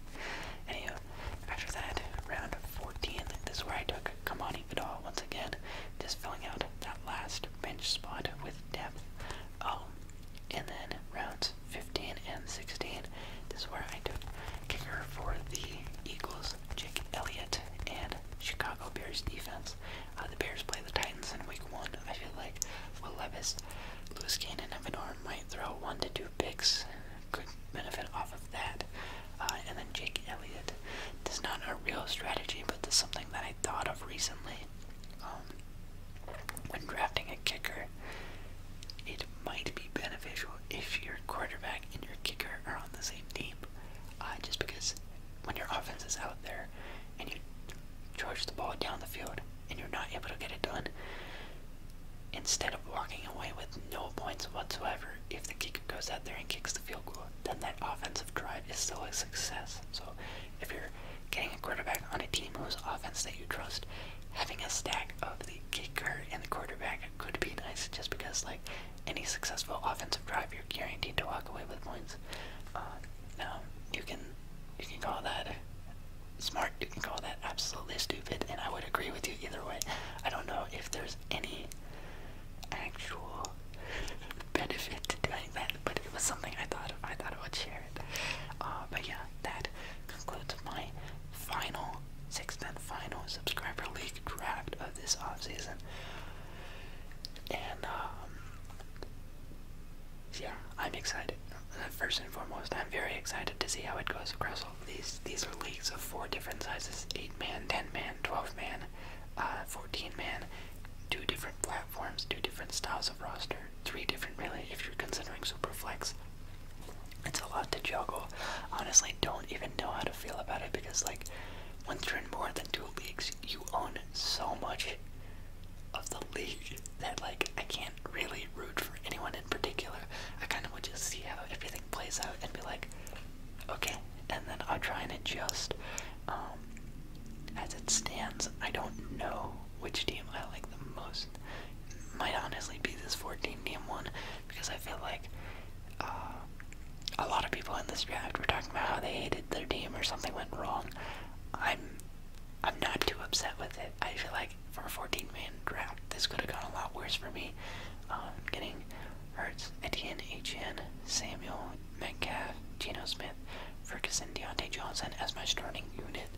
After that, round 14, this is where I took Kamani Vidal once again, just filling out that last bench spot with depth. Um, and then rounds 15 and 16, this is where I took kicker for the Eagles, Jake Elliott, and Chicago Bears defense. Uh, the Bears play the Titans in week one. I feel like Will Levis, Lewis Cannon, and Vinor might throw one to two picks could benefit off of that. Uh, and then Jake Elliott. This is not a real strategy, but this something that I thought of recently. Um, when drafting a kicker, it might be beneficial if your quarterback and your kicker are on the same team. Uh, just because when your offense is out there and you charge the ball down the field and you're not able to get it done, instead of walking away with no points whatsoever, if the kicker goes out there and kicks the field goal, then that offensive drive is still a success. So if you're getting a quarterback on a team whose offense that you trust, having a stack of the kicker and the quarterback could be nice just because like any successful offensive drive you're guaranteed to walk away with points. Uh, now you can you can call that smart, you can call that absolutely stupid, and I would agree with you either way. I don't know if there's any actual benefit to doing that, but it was something I thought I thought I would share it. Uh, but yeah, that concludes my final sixth and final subscriber league draft of this off season. And um, yeah, I'm excited. Uh, first and foremost, I'm very excited to see how it goes across all these these are leagues of four different sizes: eight man, ten man, twelve man, uh, fourteen man. Two different platforms, two different styles of roster, three different really. If you're considering Superflex, it's a lot to juggle. Honestly, don't even know how to feel about it because like once you're in more than two leagues, you own so much of the league that like I can't really root for anyone in particular. I kind of would just see how everything plays out and be like, Okay, and then I'll try and adjust. Um, as it stands, I don't know which team I like the most. Might honestly be this 14 team one because I feel like uh, a lot of people in this draft were talking about how they hated their team or something went wrong. I'm I'm not too upset with it. I feel like for a 14 man draft, this could have gone a lot worse for me. Uh, getting Hurts, Etienne, H.N., Samuel, Metcalf, Geno Smith, Ferguson, Deontay Johnson as my starting unit.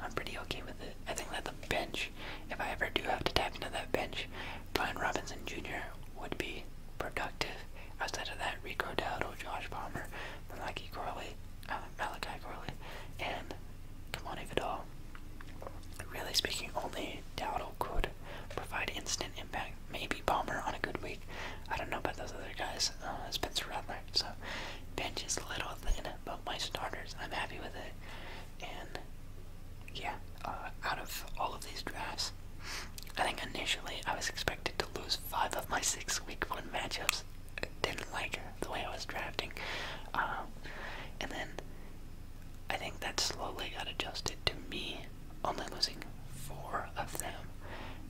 I'm pretty okay with it. I think that the bench, if I ever do have to tap into that bench, Brian Robinson Jr. would be productive. Outside of that, Rico Dowdle, Josh Palmer, Malachi Corley, uh, Malachi Corley, and Kamani Vidal. Really speaking, only Dowdle could provide instant impact. Maybe Bomber on a good week. I don't know about those other guys. Uh, Spencer Rattler. So, bench is a little thin, but my starters, I'm happy with it. And, yeah, uh, out of all of these drafts, I think initially I was expected to lose five of my six week one matchups. didn't like the way I was drafting. Um, and then I think that slowly got adjusted to me only losing four of them.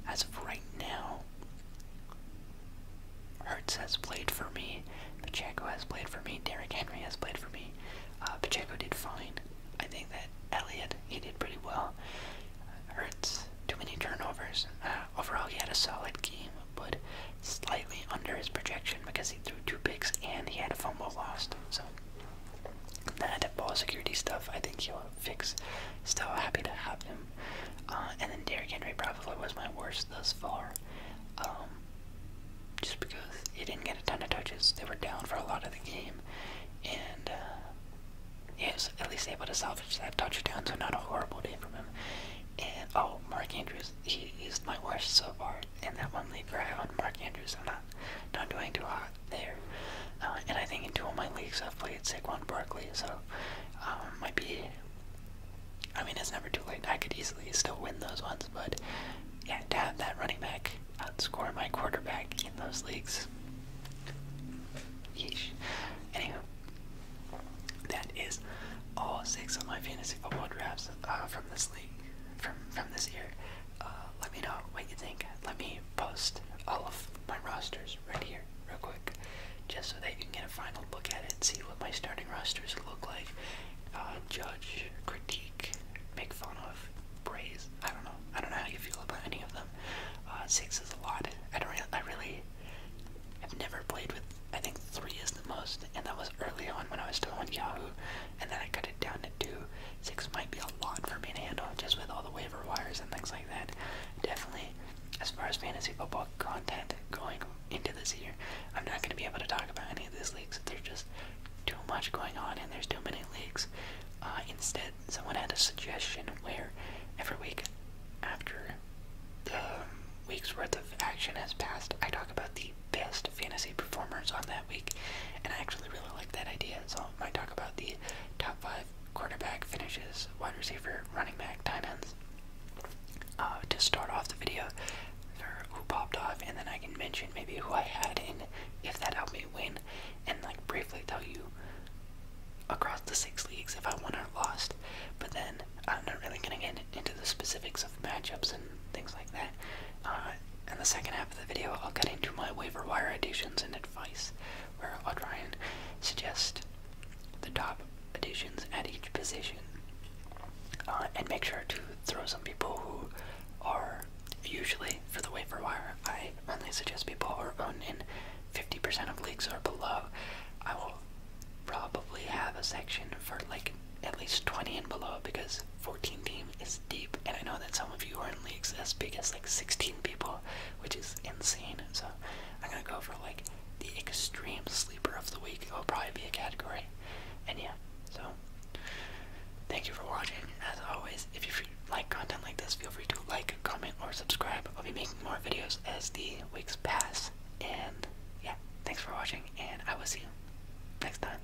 As of right now, Hertz has played for me, Pacheco has played for me, Derrick Henry has played for me. Uh, Pacheco did fine. I think that Elliot he did pretty well. Hertz, too many turnovers. Uh, overall, he had a solid game, but slightly under his projection because he threw two picks and he had a fumble lost. So, the anti-ball security stuff, I think he'll fix. Still happy to have him. Uh, and then Derrick Henry probably was my worst thus far. Um, just because he didn't get a ton of touches. They were down for a lot of the game. And uh, he was at least able to salvage that touchdown, so not a horrible day from him. And, oh, Mark Andrews, he is my worst so far. In that one league where I owned Mark Andrews, I'm not not not doing too hot there. Uh, and I think in two of my leagues I've played Saquon Barkley, so um, might be. I mean, it's never too late. I could easily still win those ones, but yeah, to have that running back outscore my quarterback in those leagues. Yeesh. Anywho, that is all six of my fantasy football drafts uh, from this league from from this year. Uh, let me know what you think. Let me post all of my rosters right here, real quick, just so that you can get a final look at it, see what my starting rosters look like, uh, judge, critique, make fun of, praise. I don't know. I don't know how you feel about any of them. Uh, six is a lot. I don't. Re I really have never played with. I think three is the most, and that was early on when I was still on Yahoo and then I cut it down to Six might be a lot for me to handle just with all the waiver wires and things like that. Definitely, as far as fantasy football content going into this year, I'm not going to be able to talk about any of these leagues. There's just too much going on and there's too many leagues. Uh, instead, someone had a suggestion where every week after the week's worth of action has passed, I talk about the best fantasy performers on that week. And I actually really like that idea. So I might talk about the top five quarterback finishes, wide receiver, running back, tight ends. Uh, to start off the video for who popped off, and then I can mention maybe who I had and if that helped me win, and like briefly tell you across the six leagues if I won or lost. But then I'm not really gonna get into the specifics of matchups and things like that. Uh, in the second half of the video, I'll get into my waiver wire additions and advice, where I'll try and suggest the top additions at each position. Uh, and make sure to throw some people who are usually for the waiver wire. I only suggest people who are owned in 50% of leagues or below. I will probably have a section for like at least 20 and below because 14 team is deep, and I know that some of you are in leagues as big as like 16 people, which is insane. So I'm gonna go for like the extreme sleeper of the week. It'll probably be a category. And yeah, so thank you for watching. As always, if you like content like this, feel free to like, comment, or subscribe. I'll be making more videos as the weeks pass. And yeah, thanks for watching, and I will see you next time.